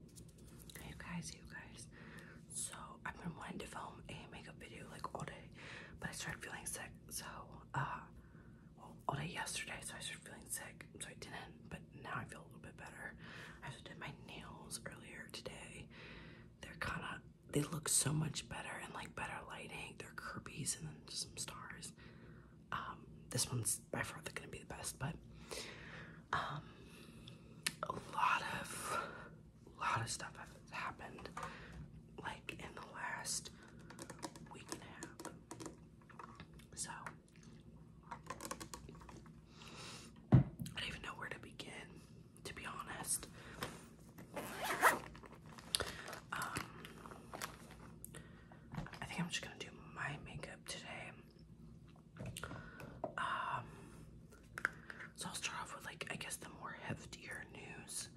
you guys, you guys. So I've been wanting to film a makeup video like all day, but I started feeling sick. So uh, all day yesterday, so I started feeling sick. So I didn't, but now I feel a little bit better. I just did my nails earlier today. They're kind of they look so much better and like better lighting. They're Kirby's and then just some stars. Um, this one's by far they're gonna be the best, but um, a lot of, lot of stuff has happened, like in the last week and a half. So I don't even know where to begin, to be honest. Um, I think I'm just gonna do my makeup today. Um, so I'll start off with like I guess the more heftier news.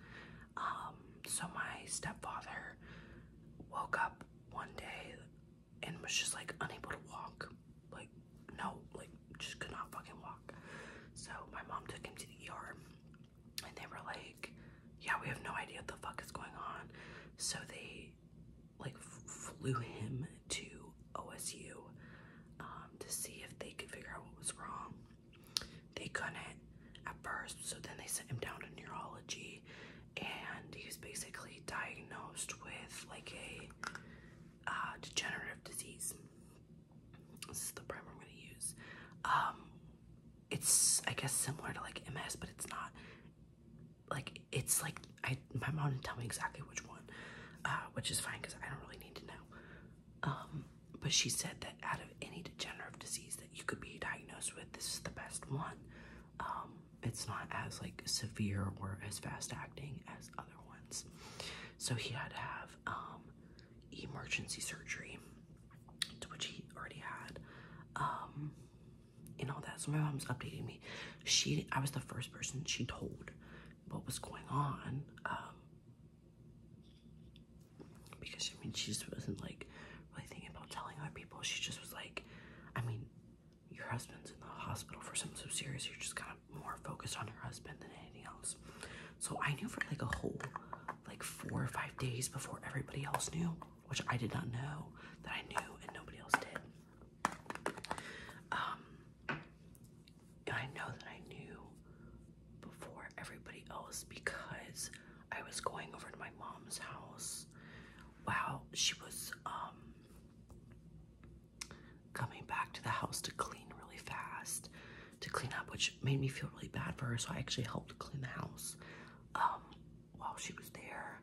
Um, so my stepfather woke up one day and was just like unable to walk. Like no, like just could not fucking walk. So my mom took him to the ER and they were like, Yeah, we have no idea what the fuck is going on. So they like flew him to OSU um, to see if they could figure out what was wrong. They couldn't at first, so then they sent him down to neurology, and he was basically diagnosed with like a uh, degenerative disease. This is the primer I'm going to use. Um, it's I guess similar to like MS, but it's not like it's like I my mom didn't tell me exactly which one, uh, which is fine because I don't really need to know. Um, but she said that out of any degenerative disease that you could be diagnosed with, this is the best one. Um, it's not as like severe or as fast acting as other ones. So he had to have um, emergency surgery, which he already had, um, and all that. So my mom's updating me. She, I was the first person she told what was going on. Um, because I mean, she just wasn't like really thinking about telling other people. She just was like, I mean, your husband's in the hospital for something so serious. You're just kind of more focused on your husband than anything else. So I knew for like a whole like four or five days before everybody else knew, which I did not know that I knew and nobody else did. Um, I know that I knew before everybody else because I was going over to my mom's house while she was um, coming back to the house to clean really fast, to clean up, which made me feel really bad for her. So I actually helped clean the house um, while she was there,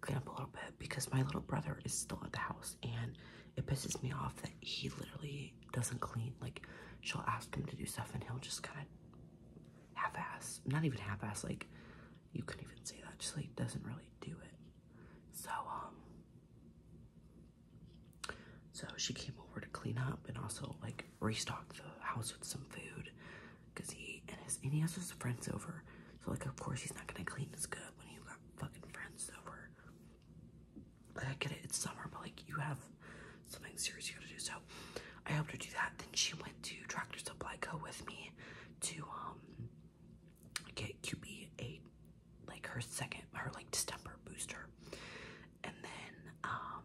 clean up a little bit because my little brother is still at the house and it pisses me off that he literally doesn't clean. Like she'll ask him to do stuff and he'll just kind of half-ass. Not even half-ass, like you couldn't even say that. Just like doesn't really do it. So um so she came over to clean up and also like restock the house with some food because he and his and he has his friends over. So like of course he's not gonna clean as good when you got fucking friends over. Like, I get it, it's summer, but like, you have something serious you gotta do. So, I helped her do that. Then she went to Tractor Supply Co. with me to, um, get QB a like her second, her like distemper booster. And then, um,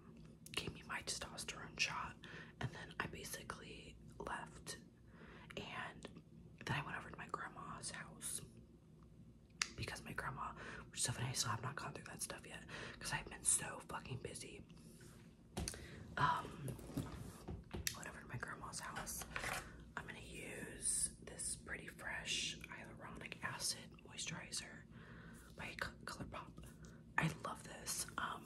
gave me my testosterone shot. And then I basically left and then I went over to my grandma's house because my grandma, which is so funny, I still have not gone through that stuff yet because I've been so fucking busy. Um, went over to my grandma's house. I'm gonna use this pretty fresh hyaluronic acid moisturizer by Color I love this. Um,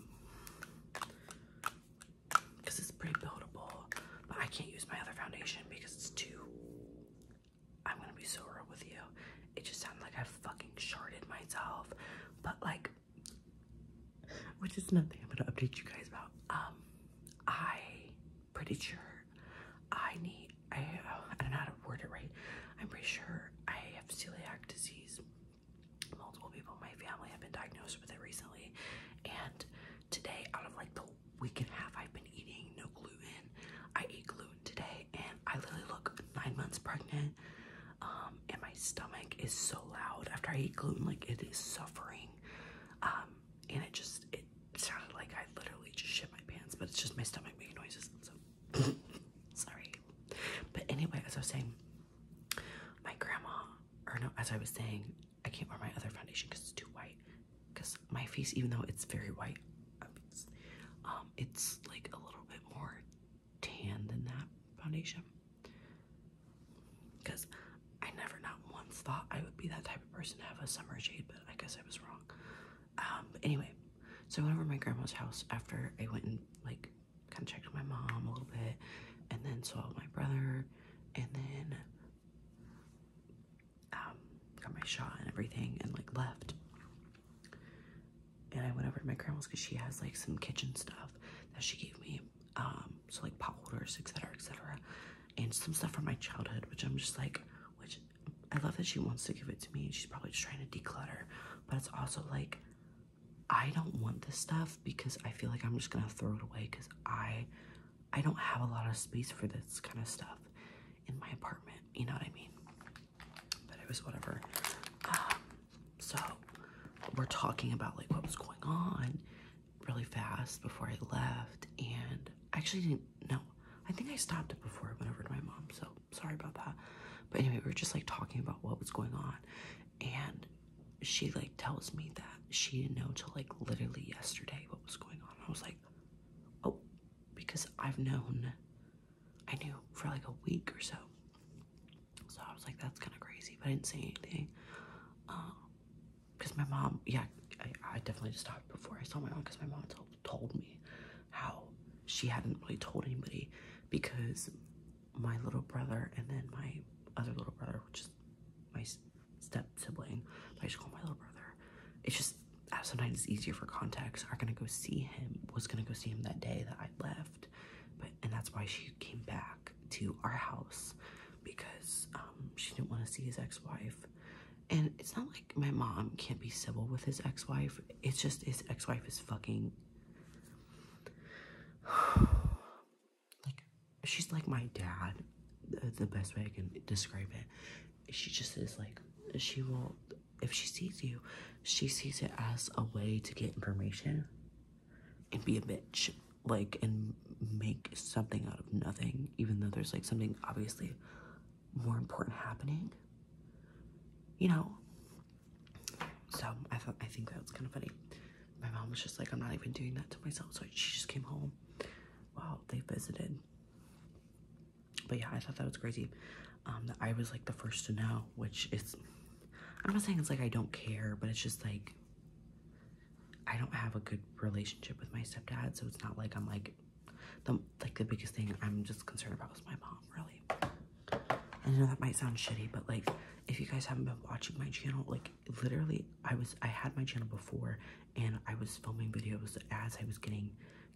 because it's pretty buildable. But I can't use my other foundation because it's too. I'm gonna be so real with you. It just sounds like I have fucking sharded myself. But like, which is nothing I'm gonna update you guys about. Um, I pretty sure I need. I I don't know how to word it right. I'm pretty sure I have celiac disease. Multiple people in my family have been diagnosed with it recently, and today, out of like the we can have. I've been eating no gluten. I ate gluten today and I literally look nine months pregnant. Um, and my stomach is so loud after I eat gluten, like it is suffering. Um, and it just it sounded like I literally just shit my pants, but it's just my stomach making noises. So sorry. But anyway, as I was saying, my grandma, or no, as I was saying, I can't wear my other foundation because it's too white. Because my face, even though it's very white, it's, um, it's like a little bit more tan than that foundation. Because I never, not once, thought I would be that type of person to have a summer shade, but I guess I was wrong. Um, anyway, so I went over my grandma's house after I went and like kind of checked with my mom a little bit, and then saw my brother, and then um, got my shot and everything and like left. And I went over to my grandma's because she has like some kitchen stuff that she gave me. Um, so like pot holders, etc., etc., and some stuff from my childhood, which I'm just like, which I love that she wants to give it to me. She's probably just trying to declutter, but it's also like, I don't want this stuff because I feel like I'm just gonna throw it away because I I don't have a lot of space for this kind of stuff in my apartment, you know what I mean? But it was whatever. Um, so we're talking about like what was going on really fast before I left, and actually didn't know. I think I stopped it before I went over to my mom, so sorry about that. But anyway, we are just like talking about what was going on, and she like tells me that she didn't know till like literally yesterday what was going on. I was like, oh, because I've known, I knew for like a week or so. So I was like, that's kind of crazy, but I didn't say anything. Because um, my mom, yeah, I, definitely stopped before I saw my mom because my mom told, told me how she hadn't really told anybody because my little brother and then my other little brother, which is my step sibling, I just call my little brother. It's just sometimes it's easier for context. I'm gonna go see him. Was gonna go see him that day that I left, but and that's why she came back to our house because um, she didn't want to see his ex-wife. And it's not like my mom can't be civil with his ex-wife. It's just his ex-wife is fucking. like she's like my dad the best way I can describe it. She just is like, she will, if she sees you, she sees it as a way to get information and be a bitch. Like, and make something out of nothing, even though there's like something obviously more important happening. You know? So I thought, I think that was kind of funny. My mom was just like, I'm not even doing that to myself. So she just came home. Wow, they visited. But yeah, I thought that was crazy. Um, that I was like the first to know, which is I'm not saying it's like I don't care, but it's just like I don't have a good relationship with my stepdad, so it's not like I'm like the like the biggest thing I'm just concerned about is my mom, really. I know that might sound shitty, but like if you guys haven't been watching my channel, like literally I was I had my channel before and I was filming videos as I was getting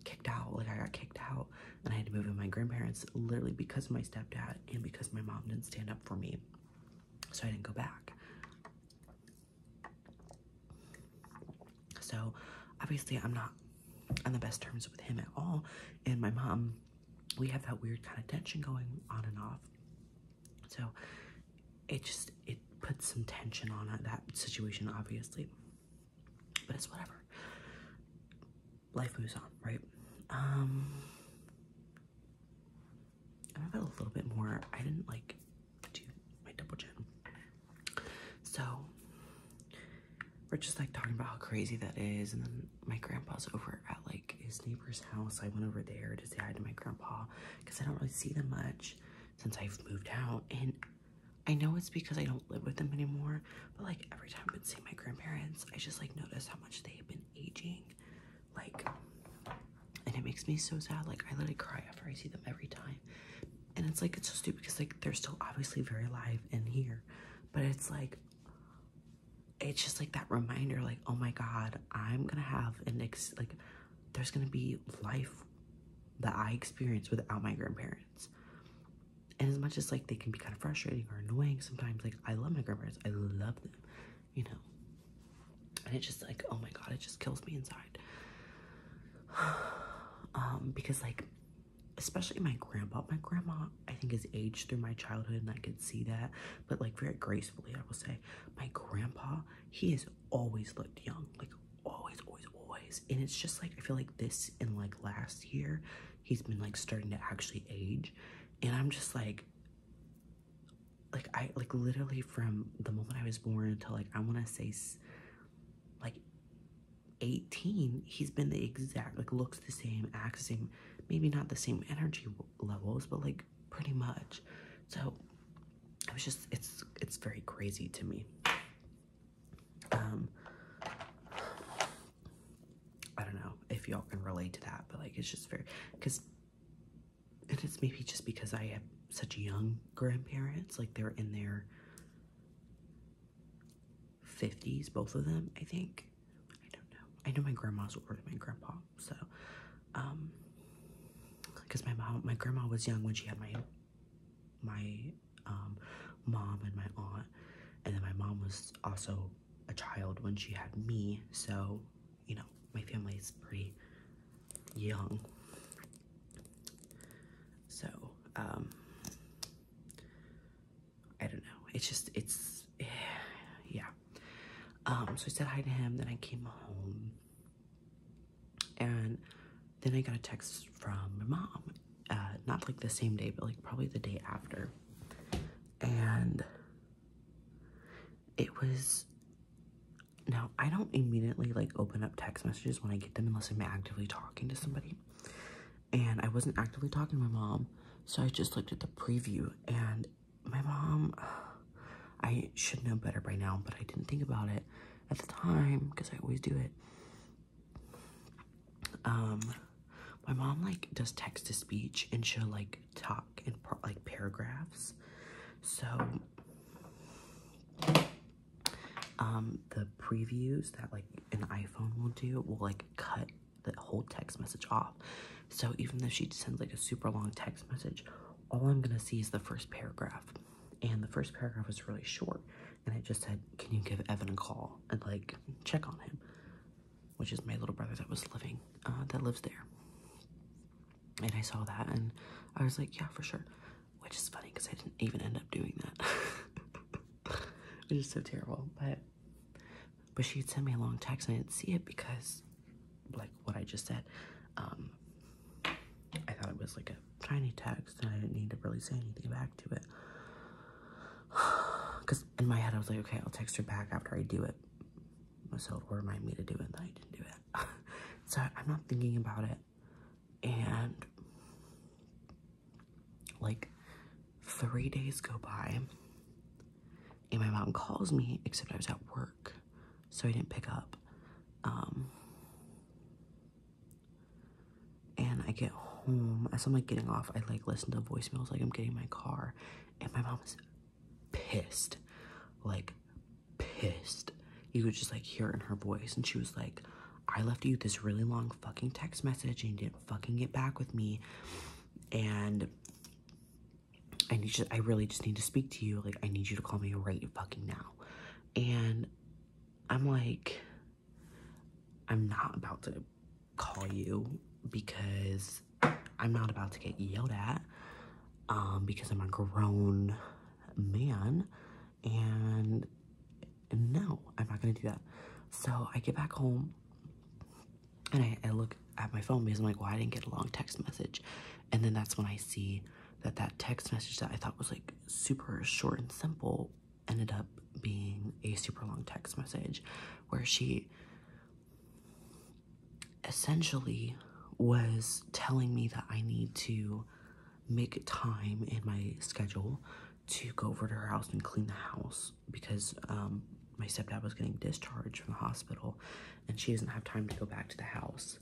kicked out. Like I got kicked out and I had to move in my grandparents literally because my stepdad and because my mom didn't stand up for me. So I didn't go back. So obviously I'm not on the best terms with him at all. And my mom, we have that weird kind of tension going on and off. So it just it puts some tension on that situation, obviously. But it's whatever. Life moves on, right? Um, I've got a little bit more. I didn't like do my double chin, so we're just like talking about how crazy that is. And then my grandpa's over at like his neighbor's house. I went over there to say hi to my grandpa because I don't really see them much since I've moved out. And I know it's because I don't live with them anymore, but like every time I would see my grandparents, I just like notice how much they have been aging. Like, and it makes me so sad. Like, I literally cry after I see them every time. And it's like, it's so stupid because like they're still obviously very alive in here, but it's like, it's just like that reminder, like, oh my God, I'm gonna have an ex, like, there's gonna be life that I experience without my grandparents. And as much as like they can be kind of frustrating or annoying sometimes, like I love my grandparents, I love them, you know. And it's just like, oh my god, it just kills me inside. um, because like especially my grandpa. My grandma, I think, has aged through my childhood, and I could see that, but like very gracefully, I will say. My grandpa, he has always looked young, like always, always, always. And it's just like I feel like this and like last year, he's been like starting to actually age. And I'm just like like I like literally from the moment I was born until like I want to say like 18 he's been the exact like looks the same acts same maybe not the same energy levels but like pretty much so it was just it's it's very crazy to me um i don't know if y'all can relate to that but like it's just very because and it's maybe just because i have such young grandparents like they're in their 50s both of them i think i don't know i know my grandma's older than my grandpa so um because my mom my grandma was young when she had my my um, mom and my aunt. And then my mom was also a child when she had me. So, you know, my family is pretty young. So, um, I don't know. It's just, it's, yeah. Um, so I said hi to him. Then I came home and then I got a text from my mom, uh, not like the same day, but like probably the day after. And it was now I don't immediately like open up text messages when I get them unless I'm actively talking to somebody. And I wasn't actively talking to my mom, so I just looked at the preview and my mom I should know better by now, but I didn't think about it at the time because I always do it. Um, my mom like does text to speech and she'll like talk in like paragraphs. So, um, the previews that like an iPhone will do will like cut the whole text message off. So even though she sends like a super long text message, all I'm gonna see is the first paragraph and the first paragraph was really short and it just said can you give evan a call and like check on him which is my little brother that was living uh, that lives there and i saw that and i was like yeah for sure which is funny because i didn't even end up doing that which is so terrible but but she had sent me a long text and i didn't see it because like what i just said um, I thought it was like a tiny text and I didn't need to really say anything back to it. Because in my head, I was like, okay, I'll text her back after I do it. So it'll remind me to do it, and I didn't do it. so I'm not thinking about it. And like three days go by, and my mom calls me, except I was at work, so I didn't pick up. Um, and I get home as I'm like getting off, I like listen to voicemails like I'm getting my car, and my mom is pissed, like pissed. You could just like hear it in her voice, and she was like, "I left you this really long fucking text message, and you didn't fucking get back with me, and." I need you. I really just need to speak to you. Like I need you to call me right fucking now. And I'm like, I'm not about to call you because I'm not about to get yelled at um, because I'm a grown man and no, I'm not gonna do that. So I get back home and I, I look at my phone because I'm like, well, I didn't get a long text message. And then that's when I see that that text message that I thought was like super short and simple ended up being a super long text message where she essentially was telling me that I need to make time in my schedule to go over to her house and clean the house because um, my stepdad was getting discharged from the hospital and she doesn't have time to go back to the house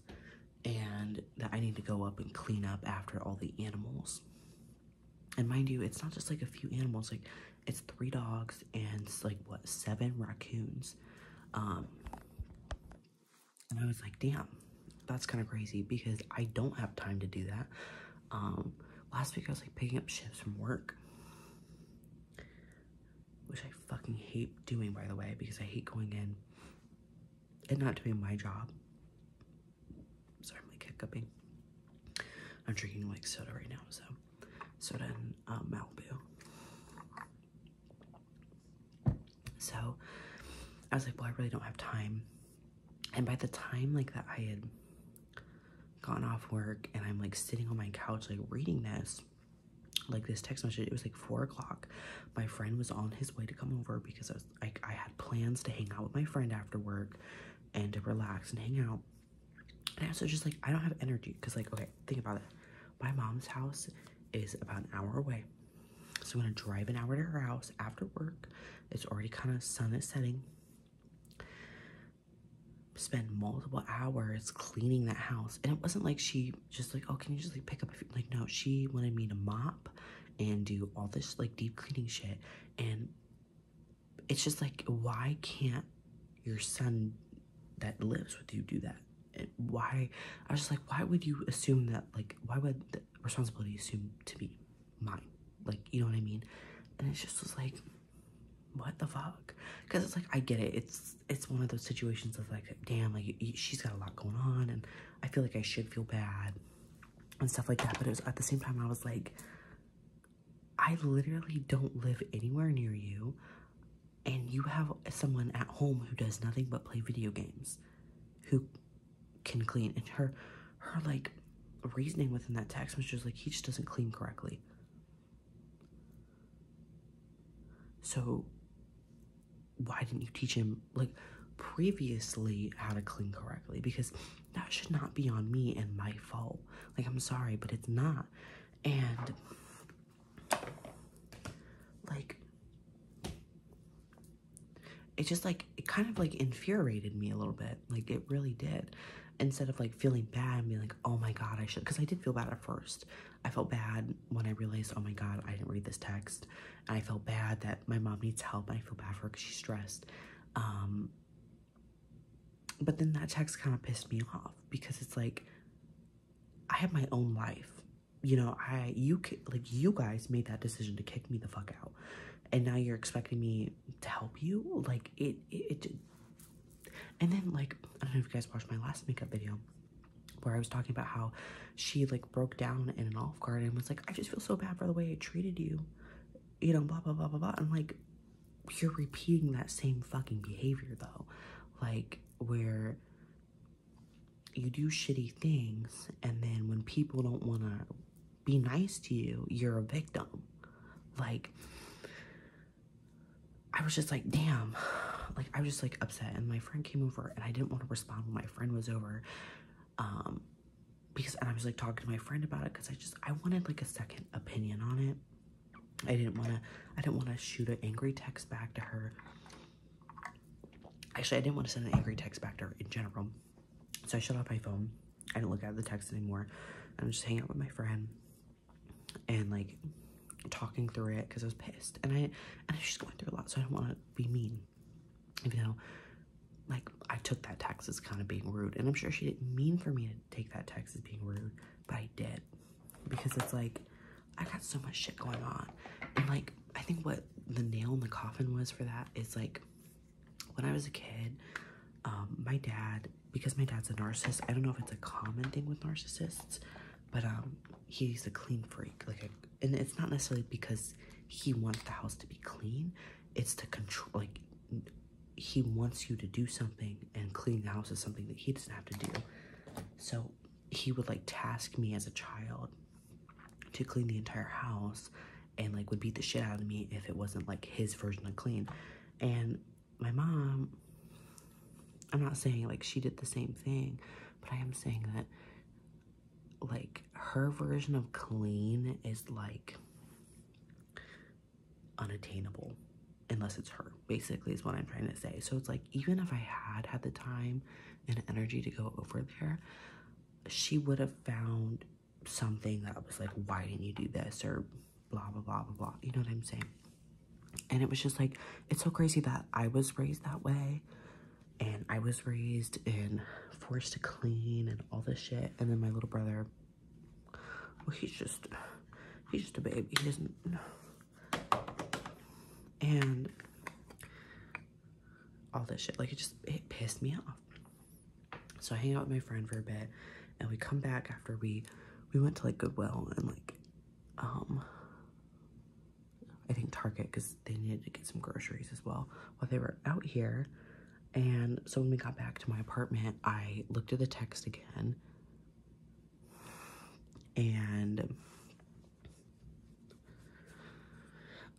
and that I need to go up and clean up after all the animals. And mind you, it's not just like a few animals, like it's three dogs and like what seven raccoons. Um, and I was like, damn, that's kind of crazy because I don't have time to do that. Um, last week I was like picking up shifts from work, which I fucking hate doing by the way because I hate going in and not doing my job sorry, I'm like hiccuping. I'm drinking like soda right now, so soda and uh, Malibu. So I was like, well, I really don't have time. And by the time like that I had gone off work and I'm like sitting on my couch like reading this, like this text message, it was like four o'clock. My friend was on his way to come over because I was like I had plans to hang out with my friend after work and to relax and hang out. And I also just like I don't have energy because like okay, think about it. My mom's house is about an hour away. So I'm gonna drive an hour to her house after work. It's already kind of sun is setting. Spend multiple hours cleaning that house. And it wasn't like she just like, oh, can you just like pick up a few? Like, no, she wanted me to mop and do all this like deep cleaning shit and it's just like why can't your son that lives with you do that and why i was just like why would you assume that like why would the responsibility assume to be mine like you know what i mean and it's just was like what the fuck because it's like i get it it's it's one of those situations of like damn like she's got a lot going on and i feel like i should feel bad and stuff like that. But it was at the same time, I was like, I literally don't live anywhere near you, and you have someone at home who does nothing but play video games, who can clean. And her, her like reasoning within that text was just like he just doesn't clean correctly. So why didn't you teach him like previously how to clean correctly because that should not be on me and my fault. Like, I'm sorry, but it's not. And like, it just like it kind of like infuriated me a little bit, like, it really did. Instead of like feeling bad and being like, oh my god, I should because I did feel bad at first. I felt bad when I realized, oh my god, I didn't read this text. I felt bad that my mom needs help and I feel bad for her because she's stressed. Um, but then that text kind of pissed me off because it's like I have my own life. You know, I you like you guys made that decision to kick me the fuck out, and now you're expecting me to help you. Like it, it, it and then like I don't know if you guys watched my last makeup video where I was talking about how she like broke down in an off guard and was like, I just feel so bad for the way I treated you, you know, blah, blah, blah, blah, blah. I'm like, you're repeating that same fucking behavior though. Like, where you do shitty things, and then when people don't want to be nice to you, you're a victim. Like, I was just like, damn. Like, I was just like upset. And my friend came over, and I didn't want to respond when my friend was over. Um, because and I was like talking to my friend about it because I just I wanted like a second opinion on it. I didn't want to I didn't want to shoot an angry text back to her. Actually, I didn't want to send an angry text back to her in general. So I shut off my phone. I didn't look at the text anymore. I'm just hanging out with my friend and like talking through it because I was pissed. And I and she's going through a lot, so I don't want to be mean. You know, like I took that text as kind of being rude, and I'm sure she didn't mean for me to take that text as being rude, but I did because it's like I got so much shit going on, and like I think what the nail in the coffin was for that is like when I was a kid, um, my dad because my dad's a narcissist. I don't know if it's a common thing with narcissists, but um, he's a clean freak, like, and it's not necessarily because he wants the house to be clean, it's the control like he wants you to do something and clean the house is something that he doesn't have to do so he would like task me as a child to clean the entire house and like would beat the shit out of me if it wasn't like his version of clean and my mom i'm not saying like she did the same thing but i am saying that like her version of clean is like unattainable unless it's her basically is what i'm trying to say so it's like even if i had had the time and energy to go over there she would have found something that was like why didn't you do this or blah blah blah blah blah you know what i'm saying and it was just like it's so crazy that i was raised that way and I was raised and forced to clean and all this shit. And then my little brother, he's just, he's just a baby. He doesn't, know, and all this shit. Like it just, it pissed me off. So I hang out with my friend for a bit and we come back after we, we went to like Goodwill and like, um, I think Target because they needed to get some groceries as well. While they were out here, and so when we got back to my apartment, I looked at the text again. And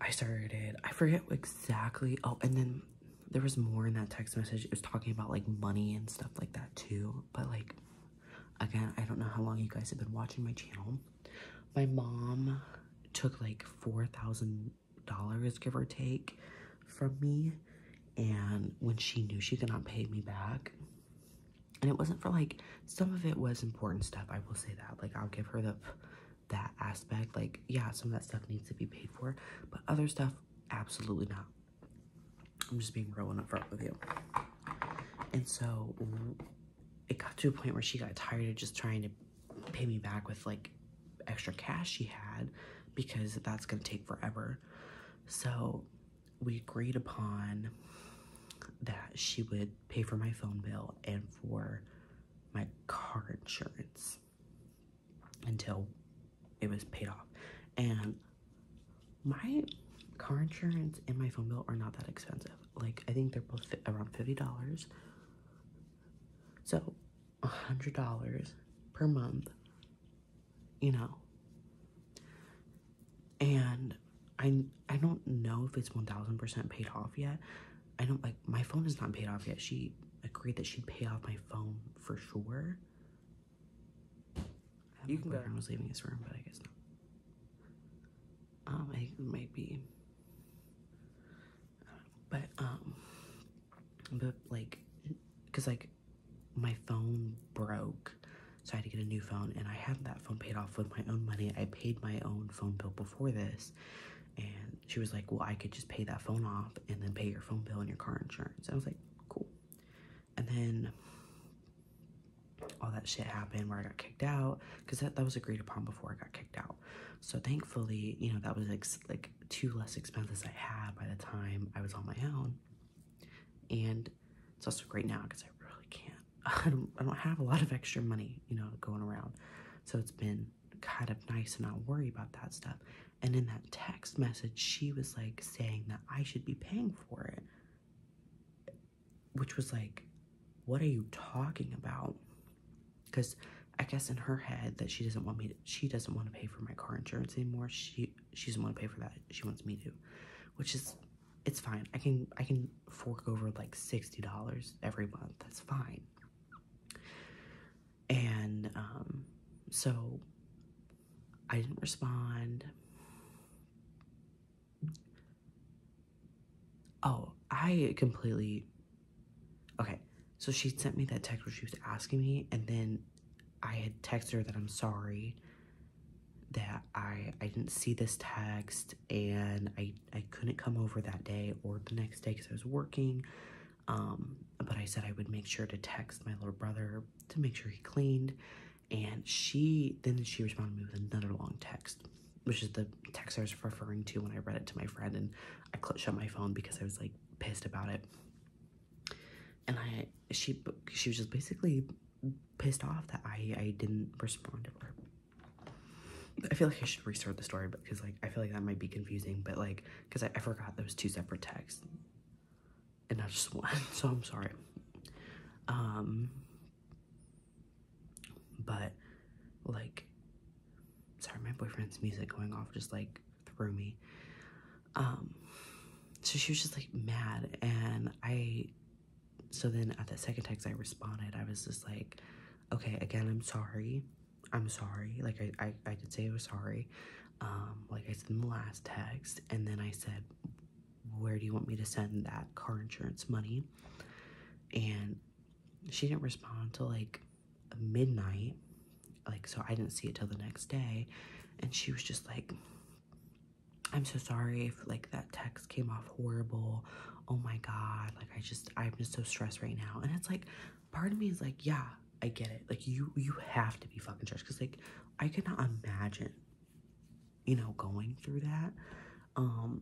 I started, I forget exactly. Oh, and then there was more in that text message. It was talking about like money and stuff like that too. But like, again, I don't know how long you guys have been watching my channel. My mom took like 4000 dollars give or take from me and when she knew she could not pay me back and it wasn't for like some of it was important stuff i will say that like i'll give her the that aspect like yeah some of that stuff needs to be paid for but other stuff absolutely not i'm just being real and upfront with you and so it got to a point where she got tired of just trying to pay me back with like extra cash she had because that's going to take forever. So we agreed upon that she would pay for my phone bill and for my car insurance until it was paid off. And my car insurance and my phone bill are not that expensive. Like, I think they're both around $50. So a $100 per month, you know. And I, I don't know if it's 1000% paid off yet. I don't like my phone is not paid off yet. She agreed that she'd pay off my phone for sure. You my can go. I was leaving his room, but I guess not. Um, it might be but um, but like, cause like, my phone broke, so I had to get a new phone, and I had that phone paid off with my own money. I paid my own phone bill before this, and she was like, "Well, I could just pay that phone off, and then pay your phone bill and your car insurance." I was like, "Cool," and then all that shit happened where I got kicked out because that, that was agreed upon before I got kicked out. So thankfully, you know, that was like, like two less expenses I had by the time I was on my own. And it's also great now because I really can't, I don't, I don't have a lot of extra money, you know, going around. So it's been kind of nice to not worry about that stuff. And in that text message, she was like saying that I should be paying for it, which was like, what are you talking about? because I guess in her head that she doesn't want me to, she doesn't want to pay for my car insurance anymore. She she doesn't want to pay for that. She wants me to, which is it's fine. I can I can fork over like sixty dollars every month. That's fine. And um, so I didn't respond. Oh, I completely Okay, so she sent me that text where she was asking me, and then I had texted her that I'm sorry that I I didn't see this text and I I couldn't come over that day or the next day because I was working. Um, but I said I would make sure to text my little brother to make sure he cleaned. And she then she responded me with another long text, which is the text I was referring to when I read it to my friend. And I shut my phone because I was like, pissed about it. And I, she, she was just basically pissed off that I, I didn't respond to her. I feel like I should restart the story because, like, I feel like that might be confusing, but, like, because I, I forgot those two separate texts and not just one, so I'm sorry. Um, but, like, sorry, my boyfriend's music going off just, like, through me. Um, so she was just like mad. And I, so then at the second text I responded, I was just like, okay, again, I'm sorry. I'm sorry. Like I, I, I did say I was sorry. Um, like I said in the last text. And then I said, where do you want me to send that car insurance money? And she didn't respond to like midnight like so i didn't see it till the next day and she was just like i'm so sorry if like that text came off horrible oh my god like i just i'm just so stressed right now and it's like part of me is like yeah i get it like you you have to be fucking stressed because like i cannot imagine you know going through that um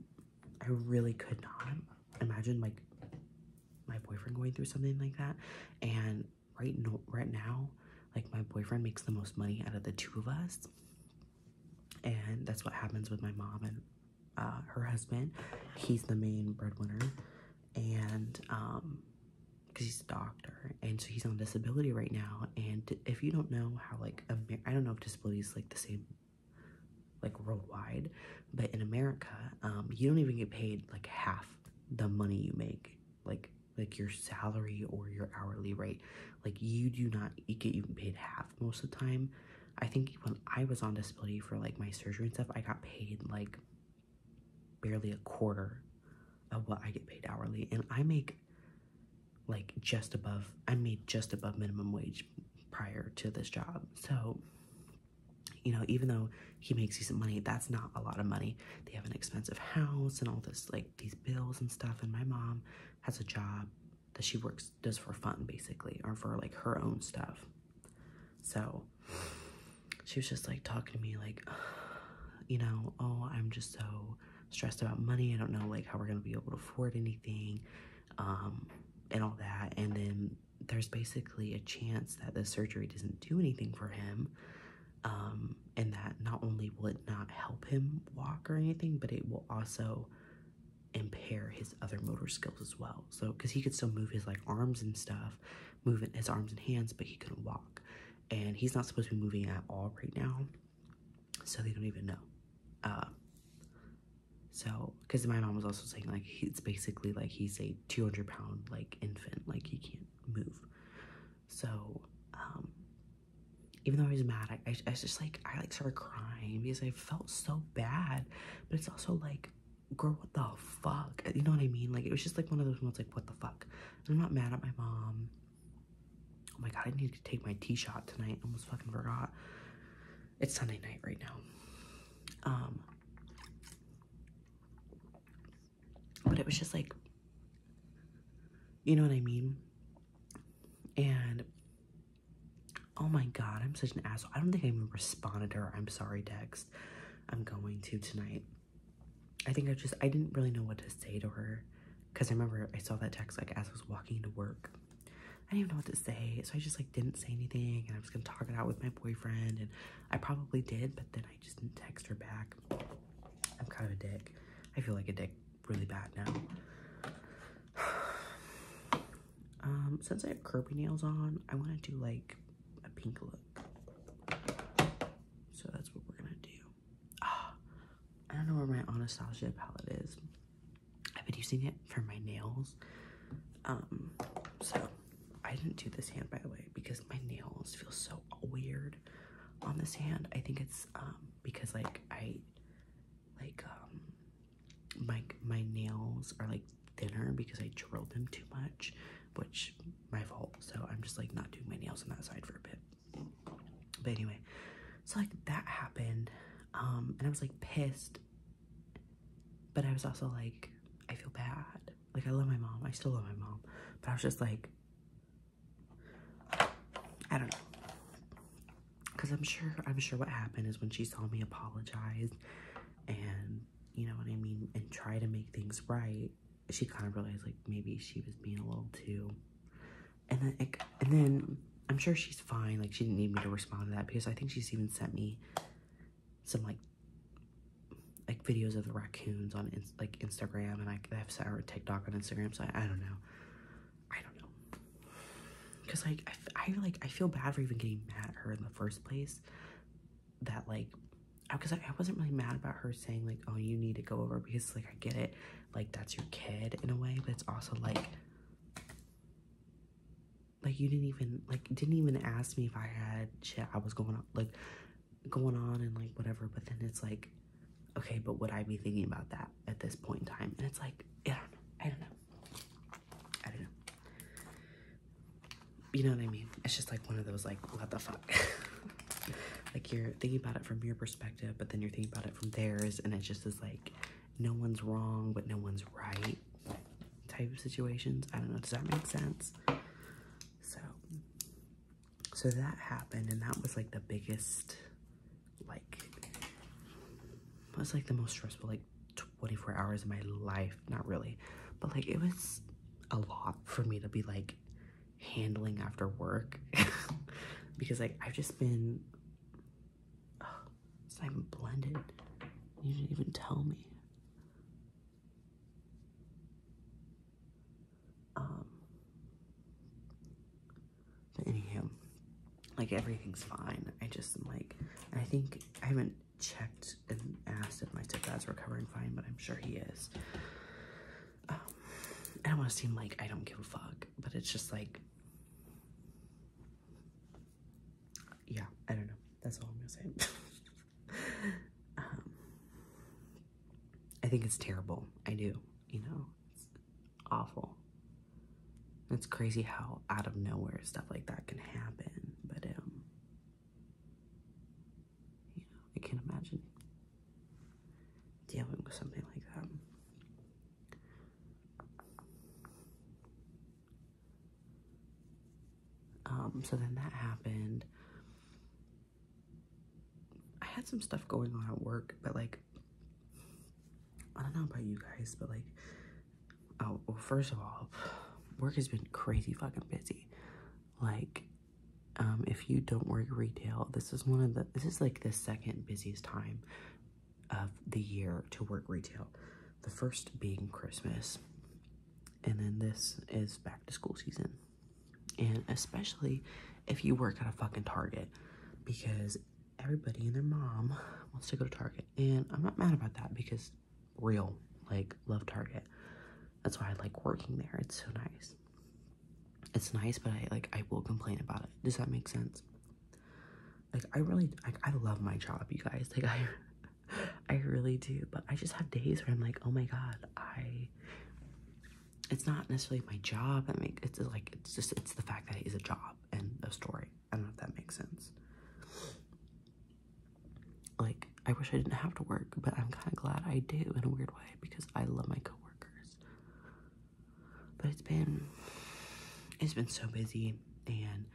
i really could not imagine like my boyfriend going through something like that and right no right now like my boyfriend makes the most money out of the two of us and that's what happens with my mom and uh, her husband he's the main breadwinner and um because he's a doctor and so he's on disability right now and if you don't know how like i don't know if disability is like the same like worldwide but in America, um, you don't even get paid like half the money you make, like like your salary or your hourly rate. Like you do not get even paid half most of the time. I think when I was on disability for like my surgery and stuff, I got paid like barely a quarter of what I get paid hourly, and I make like just above I made just above minimum wage prior to this job. So you know, even though he makes decent money, that's not a lot of money. They have an expensive house and all this, like these bills and stuff. And my mom has a job that she works, does for fun basically, or for like her own stuff. So she was just like talking to me, like, you know, oh, I'm just so stressed about money. I don't know, like, how we're going to be able to afford anything um, and all that. And then there's basically a chance that the surgery doesn't do anything for him, um, and that not only will it not help him walk or anything, but it will also impair his other motor skills as well. So, because he could still move his like arms and stuff, moving his arms and hands, but he couldn't walk, and he's not supposed to be moving at all right now, so they don't even know. Uh, so, because my mom was also saying like it's basically like he's a 200 pound like infant like he can't move so um, even though i was mad I, was just like i like started crying because i felt so bad but it's also like girl what the fuck you know what i mean like it was just like one of those moments like what the fuck i'm not mad at my mom oh my god i need to take my tea shot tonight almost fucking forgot it's sunday night right now um, but it was just like, you know what I mean? And oh my god, I'm such an asshole. I don't think I even responded to her. I'm sorry, text. I'm going to tonight. I think I just I didn't really know what to say to her because I remember I saw that text like as I was walking to work. I didn't even know what to say, so I just like didn't say anything, and I was gonna talk it out with my boyfriend, and I probably did, but then I just didn't text her back. I'm kind of a dick. I feel like a dick really bad now. Um, since I have Kirby nails on, I want to do like a pink look. So that's what we're gonna do. I don't know where my Anastasia palette is. I've been using it for my nails. Um, so I didn't do this hand by the way because my nails feel so weird on this hand. I think it's um because like I like um my my nails are like thinner because I drilled them too much, which my fault. So I'm just like not doing my nails on that side for a bit. But anyway, so like that happened. Um and I was like pissed. But I was also like I feel bad like I love my mom. I still love my mom. But I was just like, I don't know. Cause I'm sure I'm sure what happened is when she saw me apologize and you know what I mean and try to make things right, she kind of realized like maybe she was being a little too and then and then I'm sure she's fine. Like she didn't need me to respond to that because I think she's even sent me some like like videos of the raccoons on like Instagram, and I have sour TikTok on Instagram. So I, I don't know, I don't know, because like I, I like I feel bad for even getting mad at her in the first place. That like, because I, I, wasn't really mad about her saying like, oh, you need to go over because like I get it, like that's your kid in a way, but it's also like. Like you didn't even like didn't even ask me if I had shit I was going on like going on and like whatever, but then it's like, okay, but would I be thinking about that at this point in time? And it's like, I don't know, I don't know, I don't know. You know what I mean? It's just like one of those, like, what the fuck? like, you're thinking about it from your perspective, but then you're thinking about it from theirs, and it just is like, no one's wrong, but no one's right type of situations. I don't know, does that make sense? So, so that happened, and that was like the biggest, like, it was like the most stressful, like 24 hours of my life. Not really, but like it was a lot for me to be like handling after work because like I've just been oh, it's not even blended. You didn't even tell me. Um, but anyhow, like everything's fine. I just am like, I think I haven't checked and asked if my stepdad's recovering fine, but I'm sure he is. Um, I don't want to seem like I don't give a fuck, but it's just like, yeah, I don't know. That's all I'm gonna say. Um, I think it's terrible. I do. You know, it's awful. It's crazy how out of nowhere stuff like that can happen. But um, you know, I can't imagine dealing with something like that. Um, so then that happened. I had some stuff going on at work, but like, I don't know about you guys, but like, oh, well, first of all, work has been crazy fucking busy. Like, um, if you don't work retail, this is one of the, this is like the second busiest time of the year to work retail. The first being Christmas. And then this is back to school season. And especially if you work at a fucking Target because everybody and their mom wants to go to Target. And I'm not mad about that because real, like, love Target. That's why I like working there. It's so nice. It's nice, but I like I will complain about it. Does that make sense? Like I really like I love my job, you guys. Like I I really do, but I just have days where I'm like, oh my god, I it's not necessarily my job that make it's like it's just it's the fact that it is a job and a story. I don't know if that makes sense. Like I wish I didn't have to work, but I'm kinda glad I do in a weird way because I love my coworkers. But it's been it's been so busy and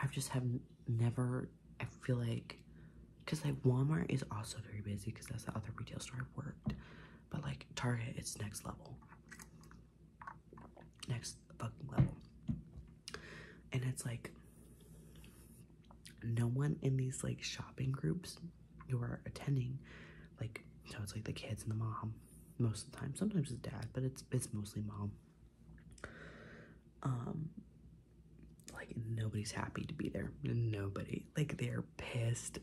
I've just have never I feel like, because like Walmart is also very busy because that's the other retail store I worked. But like Target, it's next level. Next fucking level. And it's like, no one in these like shopping groups you are attending, like, so it's like the kids and the mom most of the time. Sometimes it's dad, but it's, it's mostly mom. Um, like nobody's happy to be there. Nobody. Like they're pissed.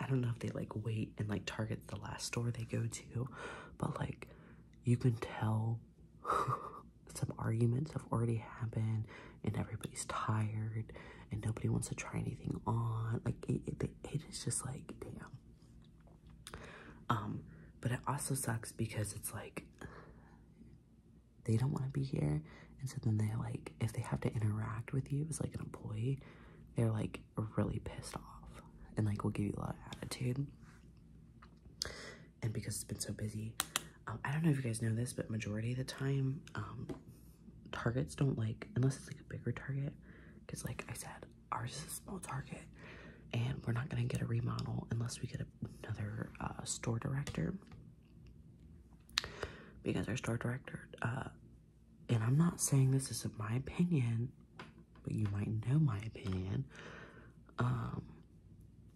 I don't know if they like wait and like target the last store they go to, but like you can tell some arguments have already happened and everybody's tired and nobody wants to try anything on. Like it, it is just like damn. Um, but it also sucks because it's like they don't want to be here and so then they like if they have to interact with you as like an employee they're like really pissed off and like will give you a lot of attitude and because it's been so busy um, i don't know if you guys know this but majority of the time um, targets don't like unless it's like a bigger target because like i said ours is a small target and we're not going to get a remodel unless we get another uh, store director because our store director, uh, and I'm not saying this is my opinion, but you might know my opinion. Um,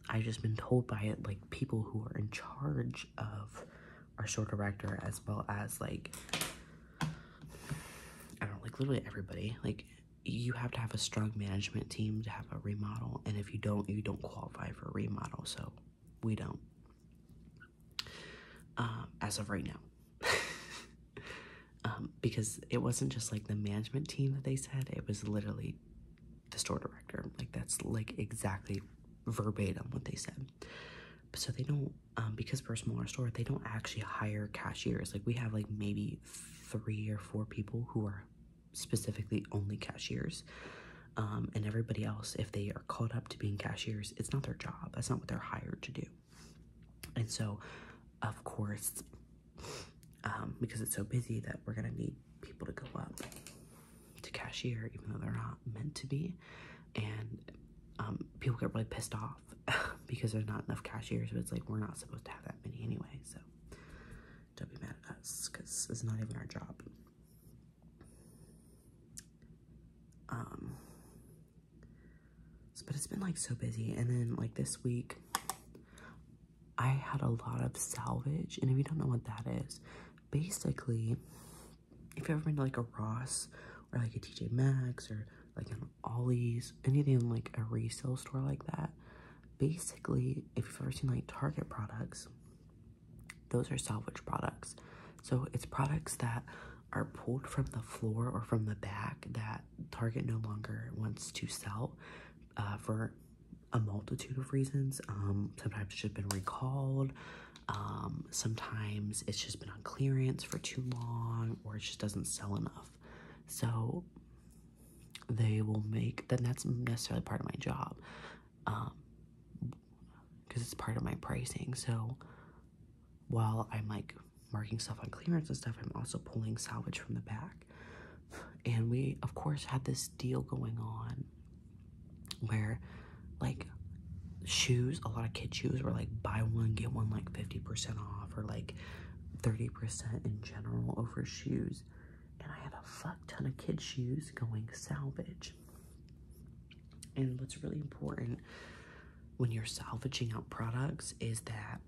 I've just been told by it, like people who are in charge of our store director, as well as like, I don't like literally everybody, like you have to have a strong management team to have a remodel and if you don't you don't qualify for a remodel so we don't. Um, as of right now. um, because it wasn't just like the management team that they said, it was literally the store director. Like that's like exactly verbatim what they said. So they don't, um, because for a smaller store, they don't actually hire cashiers. Like we have like maybe three or four people who are specifically only cashiers. Um, and everybody else, if they are called up to being cashiers, it's not their job. That's not what they're hired to do. And so, of course, um, because it's so busy that we're going to need people to go up to cashier, even though they're not meant to be. And um, people get really pissed off because there's not enough cashiers, but it's like, we're not supposed to have that many anyway. So don't be mad at us because it's not even our job. Um, but it's been like so busy, and then like this week, I had a lot of salvage. And if you don't know what that is, basically, if you've ever been to like a Ross or like a TJ Maxx or like an Ollie's, anything like a resale store like that, basically, if you've ever seen like Target products, those are salvage products. So it's products that are pulled from the floor or from the back that Target no longer wants to sell uh, for a multitude of reasons. Um, sometimes it's just been recalled. Um, sometimes it's just been on clearance for too long or it just doesn't sell enough. So they will make, then that's necessarily part of my job um because it's part of my pricing so while i'm like marking stuff on clearance and stuff i'm also pulling salvage from the back and we of course had this deal going on where like shoes a lot of kid shoes were like buy one get one like 50% off or like 30% in general over shoes and i had a fuck ton of kid shoes going salvage and what's really important when you're salvaging out products is that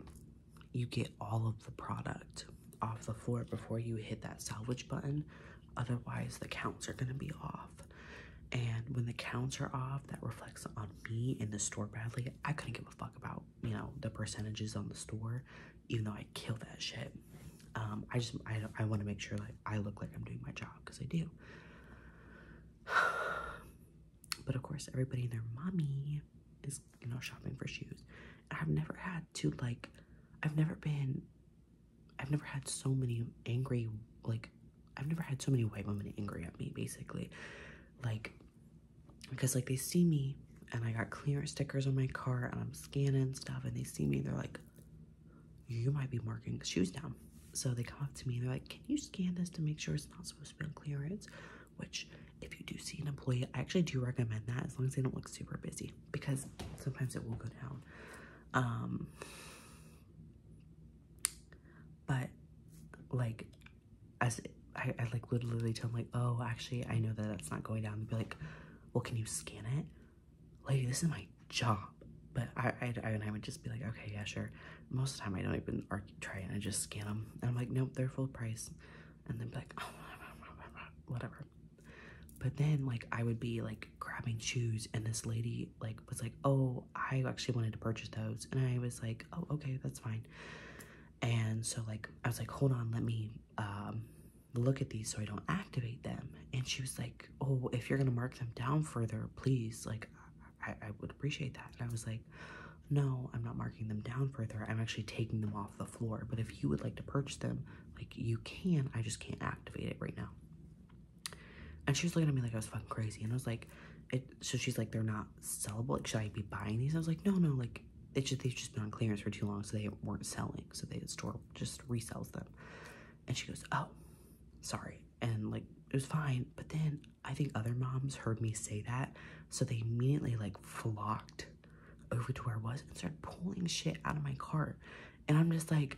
you get all of the product off the floor before you hit that salvage button. Otherwise, the counts are going to be off. And when the counts are off, that reflects on me in the store badly. I couldn't give a fuck about, you know, the percentages on the store, even though I kill that shit. Um, I just I, I want to make sure like I look like I'm doing my job because I do. but of course, everybody their mommy is you know shopping for shoes. I've never had to like I've never been I've never had so many angry like I've never had so many white women angry at me basically like because like they see me and I got clearance stickers on my car and I'm scanning stuff and they see me they're like you might be marking shoes down. So they come up to me and they're like, Can you scan this to make sure it's not supposed to be on clearance? Which, if you do see an employee, I actually do recommend that as long as they don't look super busy because sometimes it will go down. Um, but like, as I, I like literally tell them, like, Oh, actually, I know that that's not going down. They'd be like, Well, can you scan it? lady, this is my job. But I, I, and I would just be like, okay, yeah, sure. Most of the time, I don't even try it. I just scan them. I'm like, nope, they're full price. And then be like, oh, whatever. But then, like, I would be like grabbing shoes, and this lady, like, was like, oh, I actually wanted to purchase those. And I was like, oh, okay, that's fine. And so, like, I was like, hold on, let me um, look at these so I don't activate them. And she was like, oh, if you're gonna mark them down further, please, like, I, I would appreciate that. And I was like, no, I'm not marking them down further. I'm actually taking them off the floor. But if you would like to purchase them, like, you can. I just can't activate it right now. And she was looking at me like I was fucking crazy. And I was like, it, so she's like, they're not sellable. Like, should I be buying these? I was like, no, no, like, it's just, they've just been on clearance for too long, so they weren't selling. So they, the store just resells them. And she goes, Oh, sorry. And like, it was fine. But then I think other moms heard me say that. So they immediately like flocked over to where I was and started pulling shit out of my cart. And I'm just like,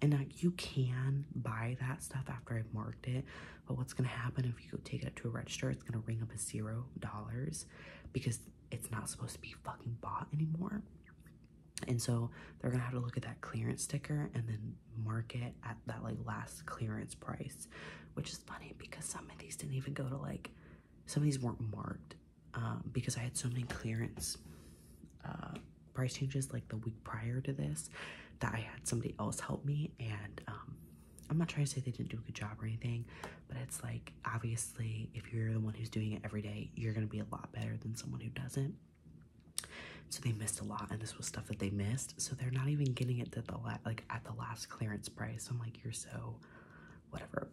and like you can buy that stuff after I've marked it, but what's gonna happen if you go take it to a register? It's gonna ring up a zero dollars because it's not supposed to be fucking bought anymore. And so they're gonna have to look at that clearance sticker and then mark it at that like last clearance price, which is funny because some of these didn't even go to like some of these weren't marked um, because I had so many clearance uh, price changes like the week prior to this that I had somebody else help me and um, I'm not trying to say they didn't do a good job or anything, but it's like obvious if you're the one who's doing it every day, you're going to be a lot better than someone who doesn't. So they missed a lot, and this was stuff that they missed. So they're not even getting it at the like at the last clearance price. I'm like, you're so, whatever.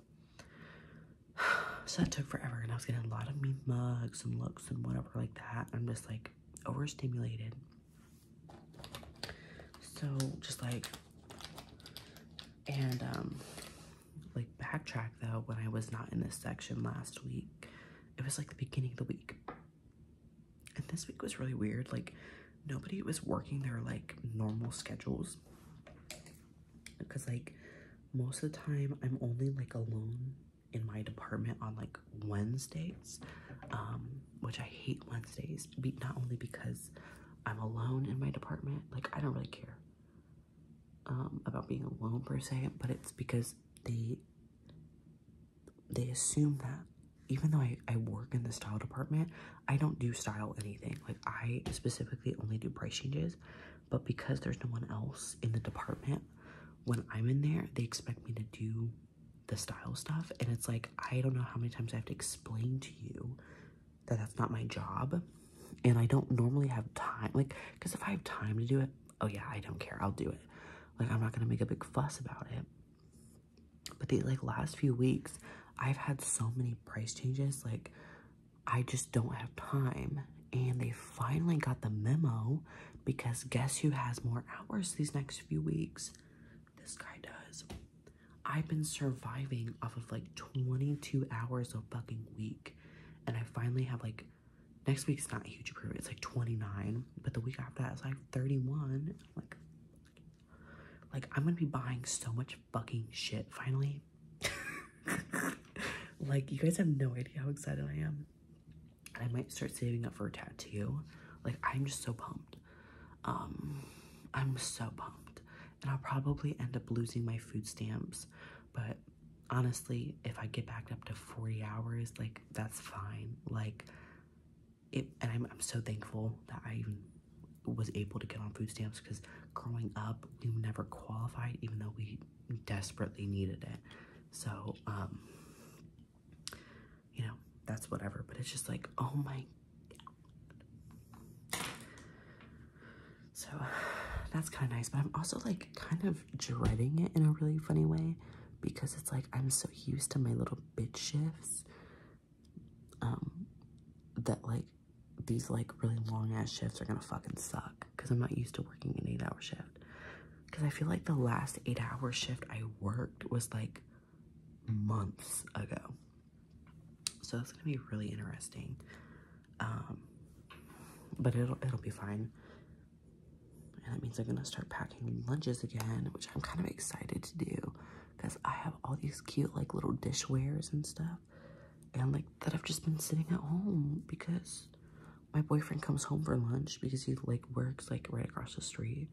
So that took forever, and I was getting a lot of mean mugs and looks and whatever like that. I'm just like overstimulated. So just like, and um, like backtrack though when I was not in this section last week. It was like the beginning of the week. And this week was really weird. Like nobody was working their like normal schedules. Because like most of the time I'm only like alone in my department on like Wednesdays. Um, which I hate Wednesdays, but not only because I'm alone in my department, like I don't really care um, about being alone per se, but it's because they they assume that even though I, I work in the style department, I don't do style anything. Like I specifically only do price changes, but because there's no one else in the department, when I'm in there, they expect me to do the style stuff. And it's like, I don't know how many times I have to explain to you that that's not my job and I don't normally have time, like, because if I have time to do it, oh yeah, I don't care, I'll do it. Like, I'm not gonna make a big fuss about it. But the like last few weeks, I've had so many price changes, like, I just don't have time. And they finally got the memo because guess who has more hours these next few weeks? This guy does. I've been surviving off of like 22 hours a fucking week, and I finally have like next week is not huge improvement. It's like 29, but the week after that is like 31. Like, like I'm gonna be buying so much fucking shit finally. like, you guys have no idea how excited I am. I might start saving up for a tattoo. Like, I'm just so pumped. Um, I'm so pumped. And I'll probably end up losing my food stamps, but honestly, if I get back up to 40 hours, like that's fine. Like it, and I'm, I'm so thankful that I even was able to get on food stamps because growing up, we never qualified, even though we desperately needed it. So, um, you know, that's whatever, but it's just like, oh my God. So that's kind of nice, but I'm also like kind of dreading it in a really funny way because it's like I'm so used to my little bit shifts um that like these like really long ass shifts are gonna fucking suck because I'm not used to working an eight hour shift because I feel like the last eight hour shift I worked was like months ago so that's gonna be really interesting um, but it'll it'll be fine. And that means I'm gonna start packing lunches again, which I'm kind of excited to do because I have all these cute like little dishwares and stuff and like that I've just been sitting at home because my boyfriend comes home for lunch because he like works like right across the street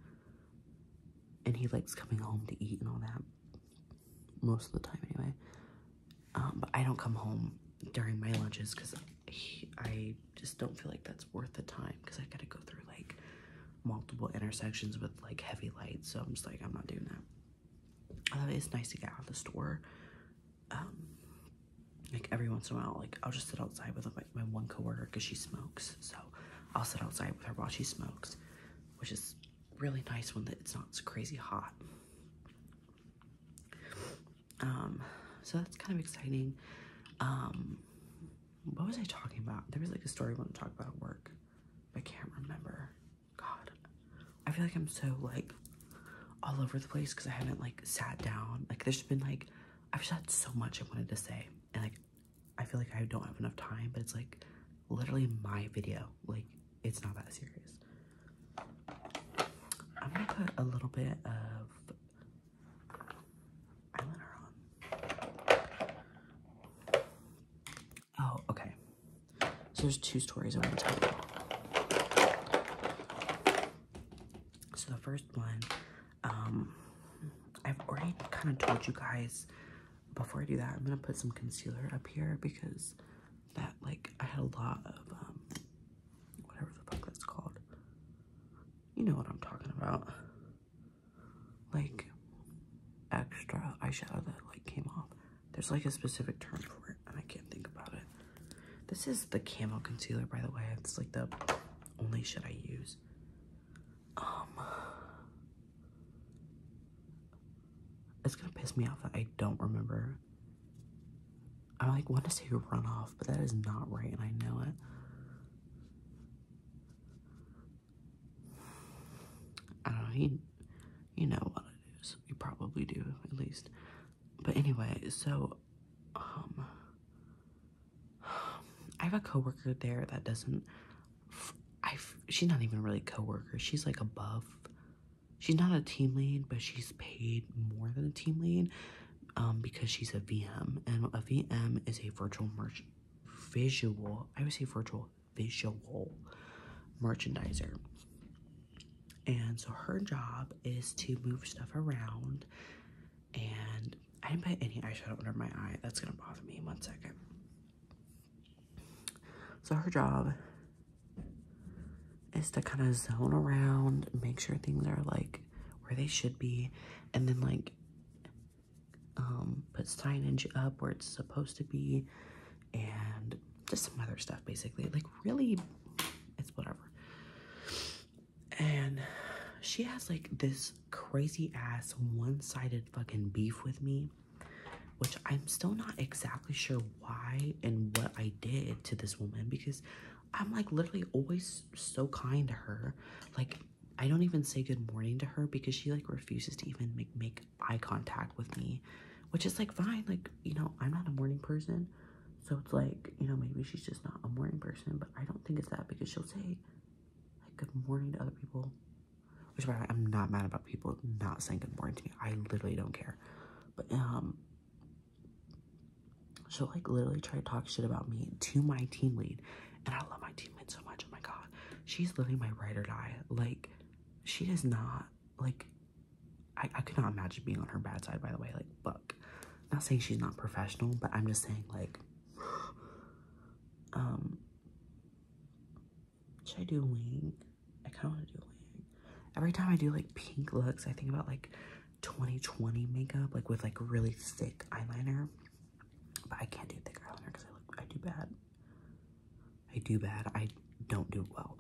and he likes coming home to eat and all that most of the time anyway um, but I don't come home during my lunches because I just don't feel like that's worth the time because I gotta go through like multiple intersections with like heavy lights. So I'm just like, I'm not doing that. Uh, it's nice to get out of the store. Um, like every once in a while, like I'll just sit outside with like my one coworker because she smokes. So I'll sit outside with her while she smokes, which is really nice when that it's not so crazy hot. Um, so that's kind of exciting. Um, what was I talking about? There was like a story I want to talk about at work, I can't remember. God, I feel like I'm so like all over the place because I haven't like sat down. Like there's been like I've just so much I wanted to say, and like I feel like I don't have enough time. But it's like literally my video. Like it's not that serious. I'm gonna put a little bit of eyeliner on. Oh, okay. So there's two stories I want to tell you. So the first one, um, I've already kind of told you guys before I do that, I'm gonna put some concealer up here because that like I had a lot of um, whatever the fuck that's called. You know what I'm talking about. Like extra eyeshadow that like came off. There's like a specific term for it and I can't think about it. This is the camel concealer by the way. It's like the only should I use. Um It's gonna piss me off that I don't remember I like want to say runoff, but that is not right, and I know it. I don't know. You, you know what it is. You probably do, at least. But anyway, so um, I have a coworker there that doesn't. I she's not even really coworker. She's like above. She's not a team lead, but she's paid more than a team lead um, because she's a VM, and a VM is a virtual merch visual. I would say virtual visual merchandiser. And so her job is to move stuff around. And I didn't put any eyeshadow under my eye. That's gonna bother me. in One second. So her job is to kind of zone around, make sure things are like where they should be, and then like um, put signage up where it's supposed to be, and just some other stuff basically. Like, really, it's whatever. And she has like this crazy ass one sided fucking beef with me, which I'm still not exactly sure why and what I did to this woman because I'm like literally always so kind to her. Like I don't even say good morning to her because she like refuses to even make make eye contact with me, which is like fine. Like you know I'm not a morning person, so it's like you know maybe she's just not a morning person. But I don't think it's that because she'll say like good morning to other people, which by the way I'm not mad about people not saying good morning to me. I literally don't care. But um She'll like literally try to talk shit about me to my team lead. And I love my team lead so much. Oh my god. She's literally my ride or die. Like, she does not like I, I could not imagine being on her bad side by the way. Like, fuck. Not saying she's not professional, but I'm just saying like um should I do wing? I kinda wanna do wing. Every time I do like pink looks, I think about like 2020 makeup, like with like really thick eyeliner. But I can't do thick eyeliner because I look I do bad. I do bad. I don't do well.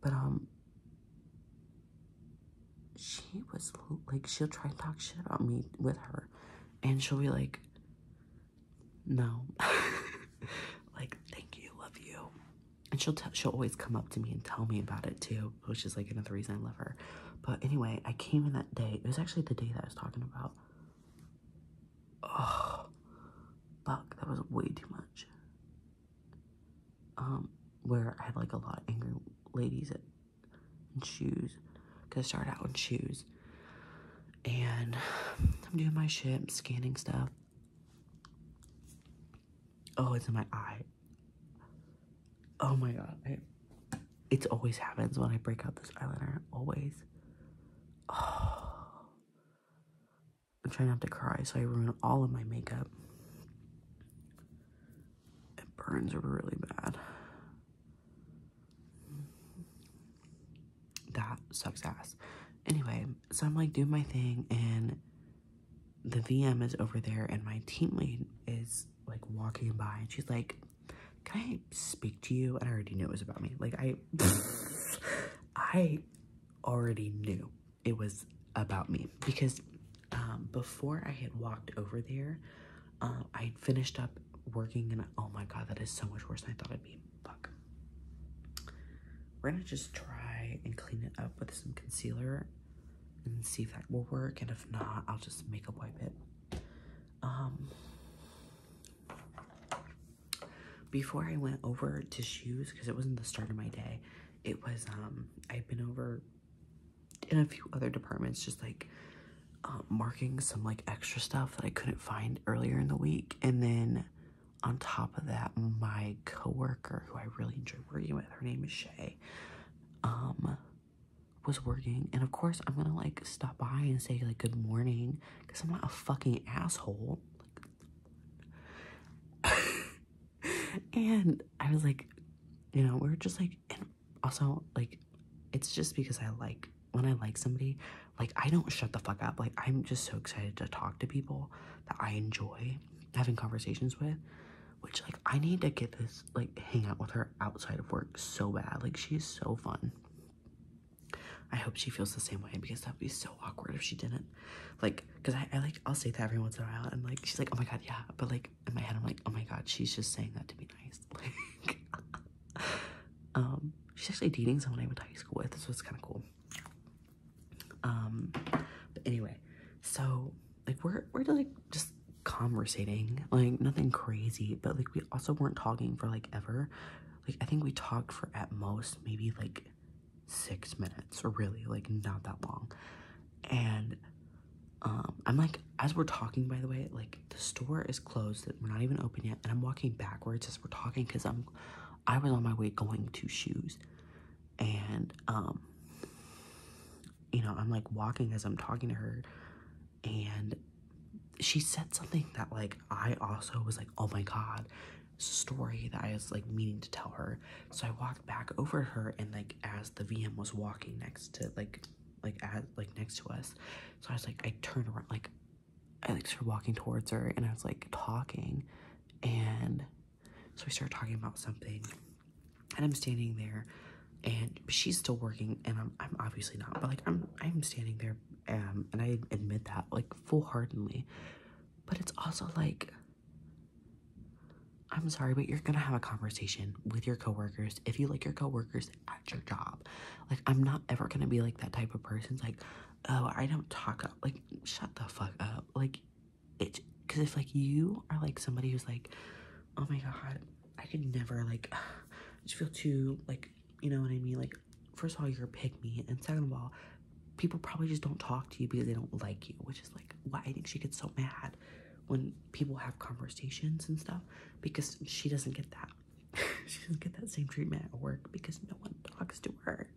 But um she was like she'll try and talk shit about me with her and she'll be like no like thank you love you and she'll tell she'll always come up to me and tell me about it too which is like another reason I love her. But anyway, I came in that day. It was actually the day that I was talking about. Oh, fuck, that was way too much. Um, where I had like a lot of angry ladies at, in shoes. Gonna start out with shoes. And I'm doing my shit, scanning stuff. Oh, it's in my eye. Oh my god. I, it always happens when I break out this eyeliner. Always. I'm trying not to cry, so I ruin all of my makeup. It burns really bad. That sucks ass. Anyway, so I'm like doing my thing and the VM is over there and my teammate is like walking by and she's like, Can I speak to you? And I already knew it was about me. Like I I already knew it was about me because um, before I had walked over there, uh, I finished up working and oh my god, that is so much worse than I thought it'd be. Fuck. We're gonna just try and clean it up with some concealer and see if that will work. And if not, I'll just makeup wipe it. Um, before I went over to shoes, because it wasn't the start of my day, it was, um, I've been over in a few other departments, just like um, marking some like extra stuff that I couldn't find earlier in the week. And then on top of that, my coworker who I really enjoy working with, her name is Shay. Um, was working and of course i'm gonna like stop by and say like good morning because i'm not a fucking asshole and i was like you know we we're just like and also like it's just because i like when i like somebody like i don't shut the fuck up like i'm just so excited to talk to people that i enjoy having conversations with which like I need to get this like hang out with her outside of work so bad. Like she's so fun. I hope she feels the same way because that'd be so awkward if she didn't. Like, cause I, I like I'll say that every once in a while and like she's like, oh my god, yeah. But like in my head I'm like, oh my god, she's just saying that to be nice. Like Um, she's actually dating someone I went to high school with, so it's kinda cool. Um but anyway, so like we're we're like just conversating, like nothing crazy, but like we also weren't talking for like ever. Like I think we talked for at most maybe like six minutes or really like not that long. And um, I'm like, as we're talking, by the way, like the store is closed, we're not even open yet, and I'm walking backwards as we're talking because I'm, I was on my way going to shoes, and um, you know, I'm like walking as I'm talking to her, and she said something that like I also was like, oh my god, story that I was like meaning to tell her. So I walked back over to her, and like as the VM was walking next to like like at like next to us, so I was like I turned around like I like started walking towards her, and I was like talking, and so we started talking about something and I'm standing there and she's still working and I'm, I'm obviously not but like I'm I'm standing there um and I admit that like full-heartedly but it's also like I'm sorry but you're gonna have a conversation with your coworkers if you like your coworkers at your job like I'm not ever gonna be like that type of person, like oh I don't talk up like shut the fuck up like it because if like you are like somebody who's like oh my god I could never like just feel too like you know what I mean like first of all you're a pick me and second of all people probably just don't talk to you because they don't like you which is like why I think she gets so mad when people have conversations and stuff because she doesn't get that she doesn't get that same treatment at work because no one talks to her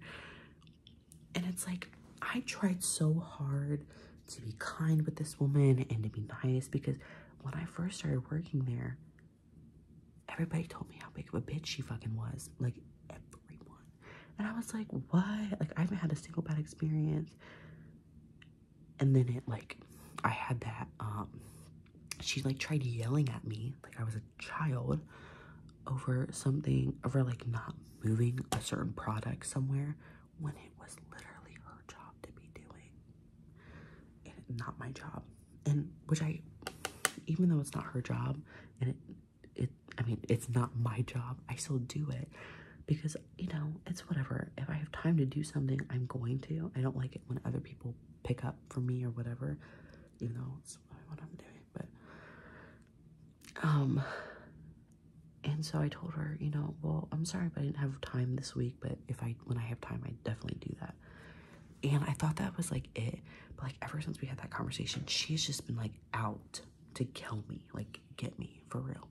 and it's like I tried so hard to be kind with this woman and to be nice because when I first started working there, everybody told me how big of a bitch she fucking was. Like, everyone. And I was like, "Why?" Like, I haven't had a single bad experience. And then it, like, I had that, um, she, like, tried yelling at me, like I was a child, over something, over, like, not moving a certain product somewhere when it was literally her job to be doing and not my job and which i even though it's not her job and it it i mean it's not my job i still do it because you know it's whatever if i have time to do something i'm going to i don't like it when other people pick up for me or whatever You know, it's what i'm doing but um and so I told her, you know, well, I'm sorry but I didn't have time this week, but if I when I have time, I definitely do that. And I thought that was like it, but like ever since we had that conversation, she's just been like out to kill me, like get me for real.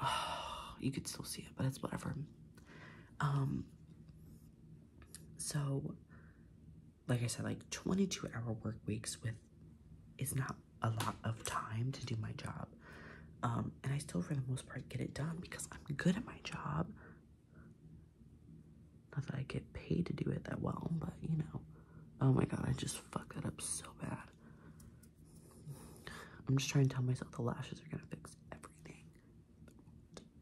you could still see it, but it's whatever. Um. So, like I said, like 22 hour work weeks with it's not a lot of time to do my job. Um, and I still, for the most part, get it done because I'm good at my job. Not that I get paid to do it that well, but you know. Oh my god, I just fuck that up so bad. I'm just trying to tell myself the lashes are gonna fix everything.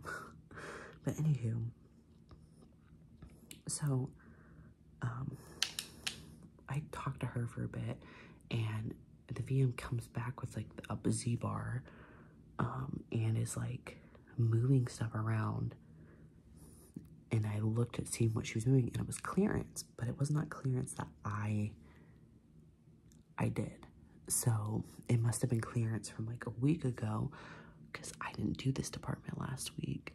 but anywho, so um, I talked to her for a bit, and the VM comes back with like a Z bar, um, and is like moving stuff around. And I looked at seeing what she was doing, and it was clearance, but it was not clearance that I I did. So it must have been clearance from like a week ago, because I didn't do this department last week.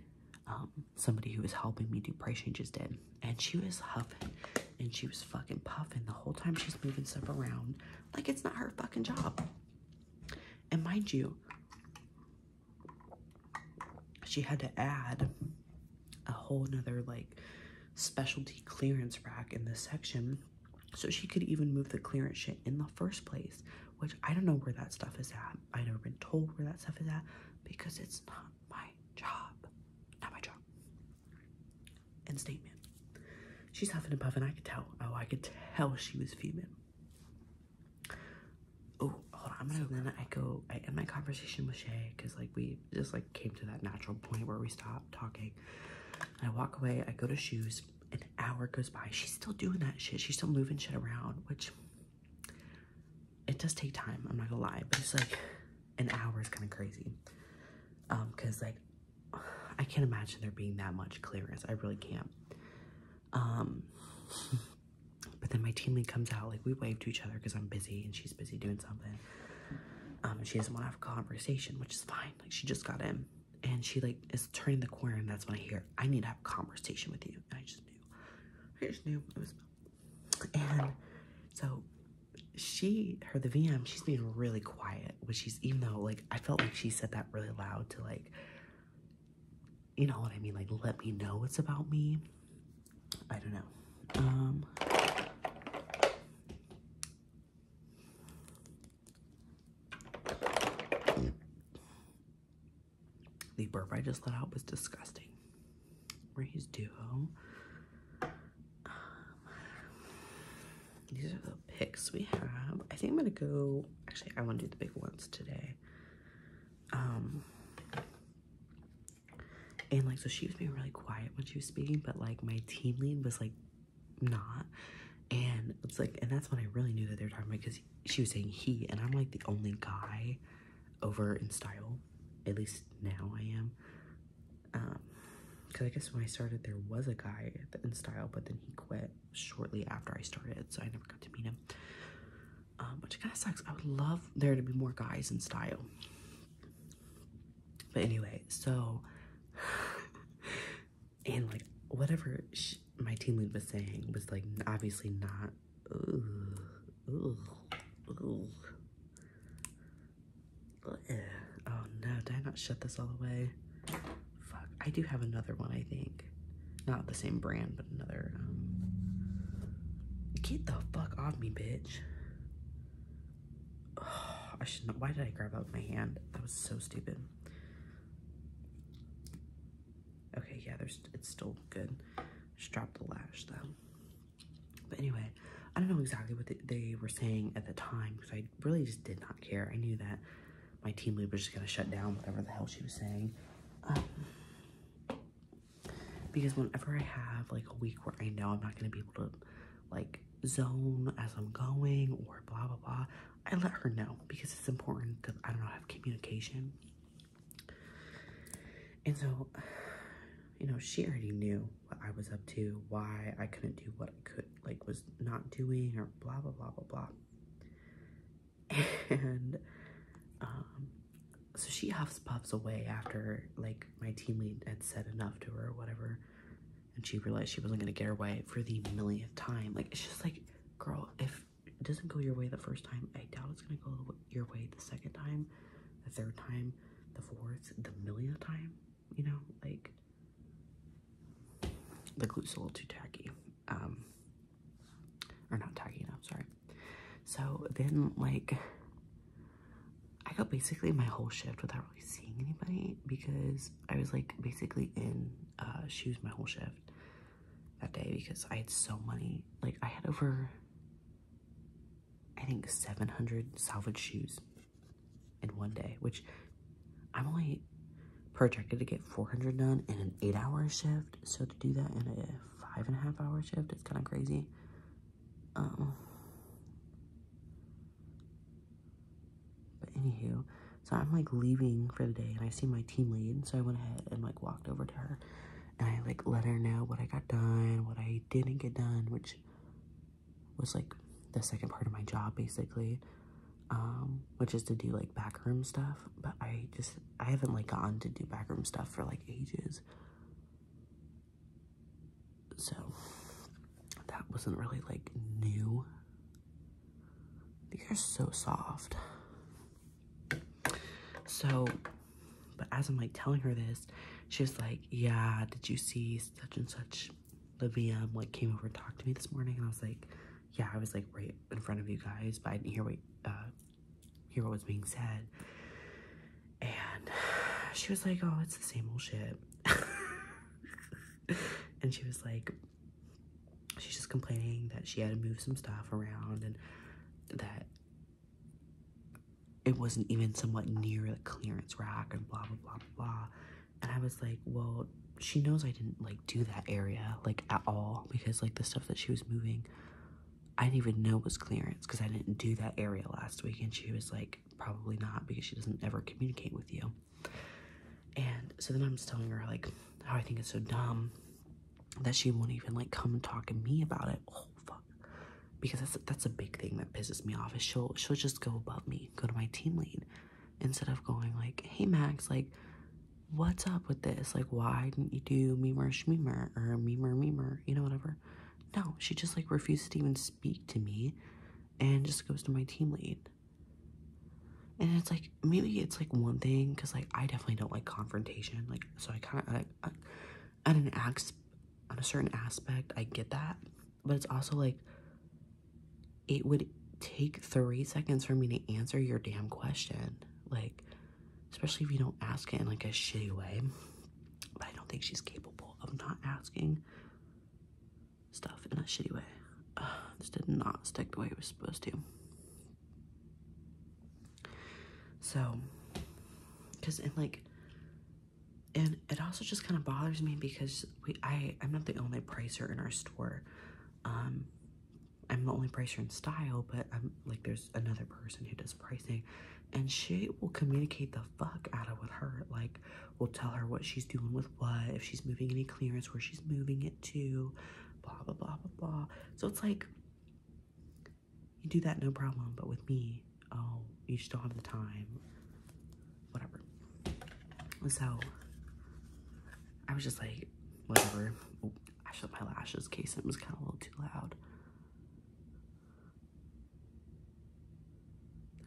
Um, somebody who was helping me do price changes did. And she was huffing and she was fucking puffing the whole time she's moving stuff around like it's not her fucking job. And mind you, she had to add a whole nother like specialty clearance rack in this section so she could even move the clearance shit in the first place, which I don't know where that stuff is at. I've never been told where that stuff is at because it's not my job. Not my job. And statement. She's huffing and puffing. I could tell. Oh, I could tell she was fuming. Oh, hold on. I'm gonna. So I go. I end my conversation with Shay because like we just like came to that natural point where we stopped talking. I walk away. I go to shoes. An hour goes by. She's still doing that shit. She's still moving shit around, which it does take time i'm not gonna lie but it's like an hour is kind of crazy um because like i can't imagine there being that much clearance i really can't um but then my team lead comes out like we wave to each other because i'm busy and she's busy doing something um and she doesn't want to have a conversation which is fine like she just got in and she like is turning the corner and that's when i hear i need to have a conversation with you i just knew i just knew it was and so she, her, the VM, she's being really quiet, which she's, even though, like, I felt like she said that really loud to, like, you know what I mean? Like, let me know it's about me. I don't know. Um, the burp I just let out was disgusting. Breeze Duo. Um, these are the pics we have. I think I'm gonna go, actually I wanna do the big ones today. Um, and like, so she was being really quiet when she was speaking, but like my team lead was like not. And it's like, and that's when I really knew that they were talking about because she was saying he, and I'm like the only guy over in style. At least now I am. Um, because I guess when I started, there was a guy in style, but then he quit shortly after I started, so I never got to meet him. Um, which kind of sucks. I would love there to be more guys in style. But anyway, so and like whatever my team lead was saying was like obviously not. Ooh. Ooh. Oh no, did I not shut this all away? Fuck. I do have another one, I think. Not the same brand, but another. Um, get the fuck off me, bitch. I should not. Why did I grab out my hand? That was so stupid. Okay, yeah, there's it's still good. Just drop the lash though. But anyway, I don't know exactly what they were saying at the time because I really just did not care. I knew that my team lead was just going to shut down whatever the hell she was saying. Um, because whenever I have like a week where I know I'm not going to be able to like zone as I'm going or blah blah blah, I let her know because it's important because I don't know, have communication. And so, you know, she already knew what I was up to, why I couldn't do what I could, like, was not doing, or blah, blah, blah, blah, blah. And, um, so she huffs puffs away after, like, my team lead had said enough to her or whatever. And she realized she wasn't going to get her way for the millionth time. Like, it's just like, girl, if it doesn't go your way the first time, I doubt it's going to go your way the second time, the third time the fours the millionth time, you know, like the glue's a little too tacky. Um or not tacky enough, sorry. So then like I got basically my whole shift without really seeing anybody because I was like basically in uh shoes my whole shift that day because I had so many like I had over I think 700 salvage shoes in one day, which I'm only projected to get 400 done in an eight hour shift. So to do that in a five and a half hour shift, it's kind of crazy. Um, but anywho, so I'm like leaving for the day and I see my team lead. So I went ahead and like walked over to her and I like let her know what I got done, what I didn't get done, which was like the second part of my job basically um, which is to do like backroom stuff but i just i haven't like gone to do backroom stuff for like ages so that wasn't really like new these are so soft so but as I'm like telling her this, she's like, Yeah, did you see such and such? The VM um, like came over and talked to me this morning, and I was like, Yeah, I was like right in front of you guys, but I didn't hear what uh, hear what was being said. And she was like, Oh, it's the same old shit. and she was like, She's just complaining that she had to move some stuff around and that it wasn't even somewhat near the clearance rack and blah blah blah blah. And I was like, well, she knows I didn't like do that area like at all because like the stuff that she was moving, I didn't even know was clearance because I didn't do that area last week. And she was like, probably not because she doesn't ever communicate with you. And so then I'm just telling her like how I think it's so dumb that she won't even like come and talk to me about it. Oh fuck because that's that's a big thing that pisses me off is she'll she'll just go above me go to my team lead instead of going like hey max like what's up with this like why didn't you do me memer shmemer or me memer memer you know whatever no she just like refuses to even speak to me and just goes to my team lead and it's like maybe it's like one thing because like i definitely don't like confrontation like so i kind of I at not ask on a certain aspect. I get that. But it's also like it would take three seconds for me to answer your damn question. Like, especially if you don't ask it in like a shitty way. But I don't think she's capable of not asking stuff in a shitty way. Uh, this did not stick the way it was supposed to. So, because in like and it also just kind of bothers me because we I I'm not the only pricer in our store. Um, I'm the only pricer in style, but I'm like there's another person who does pricing, and she will communicate the fuck out of with her. Like, will tell her what she's doing with what, if she's moving any clearance, where she's moving it to, blah blah blah blah blah. So it's like you do that no problem, but with me, oh, you still have the time. Whatever. So I was just like, whatever. I shut my lashes case it was kind of a little too loud.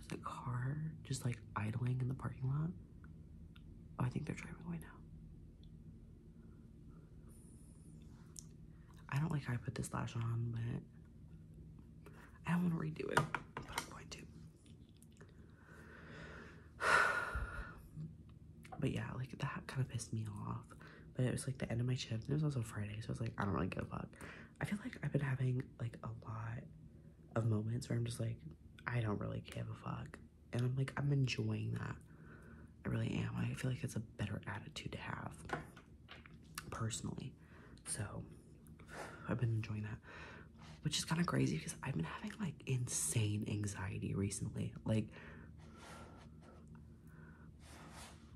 There's a car just like idling in the parking lot. Oh, I think they're driving away now. I don't like how I put this lash on, but I don't want to redo it, but I'm going to. But yeah, like that kind of pissed me off. But it was like the end of my shift, and it was also Friday, so I was like, I don't really give a fuck. I feel like I've been having like a lot of moments where I'm just like, I don't really give a fuck. And I'm like, I'm enjoying that. I really am. I feel like it's a better attitude to have personally. So I've been enjoying that, which is kind of crazy because I've been having like insane anxiety recently. Like,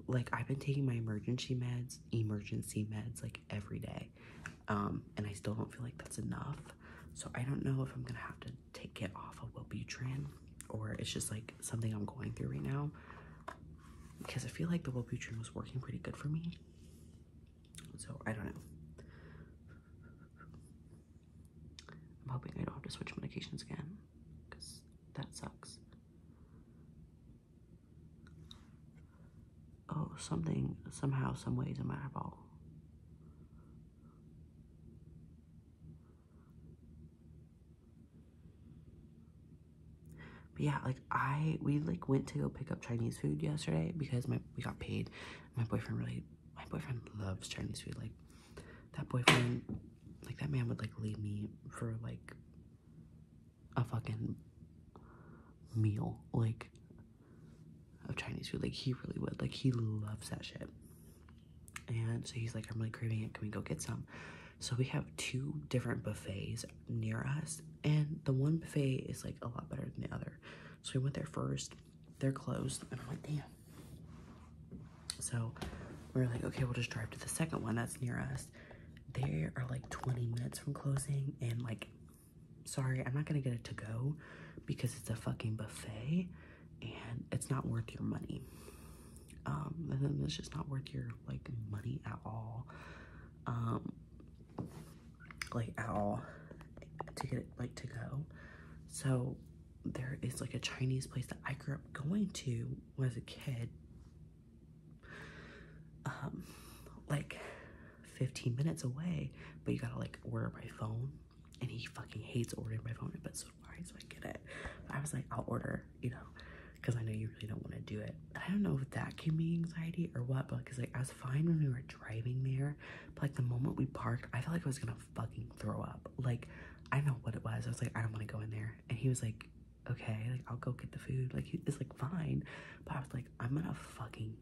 like I've been taking my emergency meds, emergency meds, like every day, um, and I still don't feel like that's enough. So I don't know if I'm gonna have to take it off of Wellbutrin or it's just like something I'm going through right now because I feel like the Wellbutrin was working pretty good for me. So I don't know. I'm hoping I don't have to switch medications again because that sucks. Oh, something, somehow, someway is a matter what. But yeah, like I we like went to go pick up Chinese food yesterday because my we got paid. My boyfriend really my boyfriend loves Chinese food. Like that boyfriend like that man would like leave me for like a fucking meal like of Chinese food. Like he really would. Like he loves that shit. And so he's like, I'm really craving it. Can we go get some? So we have two different buffets near us, and the one buffet is like a lot better than the other. So we went there first. They're closed, and I'm like, damn. So we are like, okay, we'll just drive to the second one that's near us. They are like 20 minutes from closing, and like, sorry, I'm not gonna get it to go because it's a fucking buffet and it's not worth your money. Um, it's just not worth your like money at all. Um, like at all to get it like to go. So there is like a Chinese place that I grew up going to when I was a kid. Um, like 15 minutes away, but you gotta like order by phone. And he fucking hates ordering by phone, but so do I, so get it. I was like, I'll order, you know because I know you really don't want to do it. I don't know if that gave me anxiety or what, but because like I was fine when we were driving there, but like the moment we parked, I felt like I was gonna fucking throw up. Like I don't know what it was. I was like, I don't want to go in there, and he was like, Okay, like I'll go get the food. Like it's like fine, but I was like, I'm gonna fucking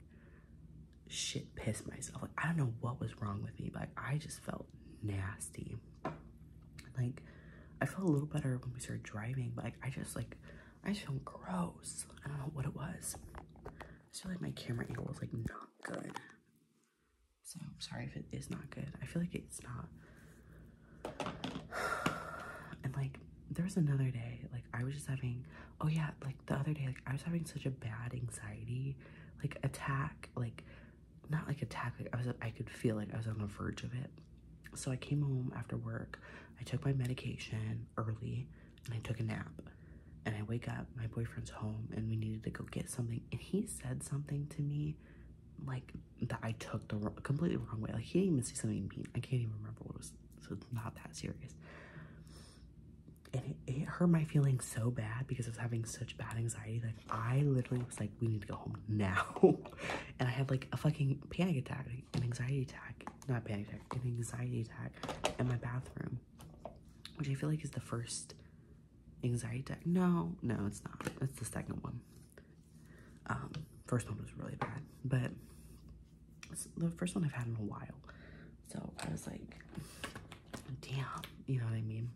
shit piss myself. Like I don't know what was wrong with me, but I just felt nasty. Like I felt a little better when we started driving, but like I just like I feel gross. I don't know what it was. I feel like my camera angle was like not good. So I'm sorry if it is not good. I feel like it's not. And like there was another day, like I was just having oh yeah, like the other day, like I was having such a bad anxiety, like attack, like not like attack, like I was I could feel like I was on the verge of it. So I came home after work. I took my medication early and I took a nap. And I wake up, my boyfriend's home, and we needed to go get something. And he said something to me like that I took the completely wrong way. Like he didn't even say something mean. I can't even remember what it was. So it's not that serious. And it, hurt my feelings so bad because I was having such bad anxiety. Like I literally was like, we need to go home now. and I had like a fucking panic attack an anxiety attack, not panic attack, an anxiety attack in my bathroom, which I feel like is the first anxiety attack. No, no, it's not. It's the second one. Um, first one was really bad, but it's the first one I've had in a while. So I was like, damn, you know what I mean?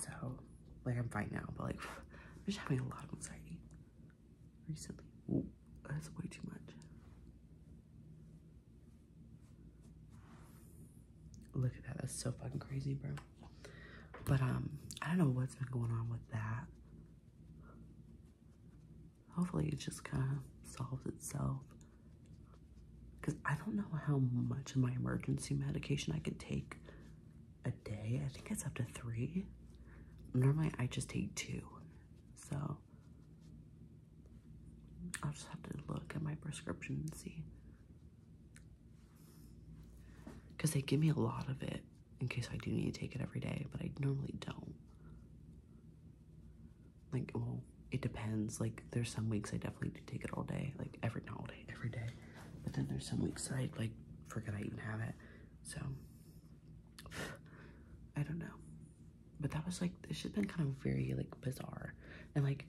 So, like, I'm fine now, but like, I'm just having a lot of anxiety recently. that's way too much. Look at that. That's so fucking crazy, bro. But, um, I don't know what's been going on with that. Hopefully it just kind of solves itself. Because I don't know how much of my emergency medication I can take a day. I think it's up to three. Normally, I just take two. So, I'll just have to look at my prescription and see. Because they give me a lot of it in case I do need to take it every day, but I normally don't. Like, well, it depends. Like, there's some weeks I definitely do take it all day, like every, not all day, every day. But then there's some weeks I, like, forget I even have it. So, I don't know. But that was like, this has been kind of very like bizarre. And like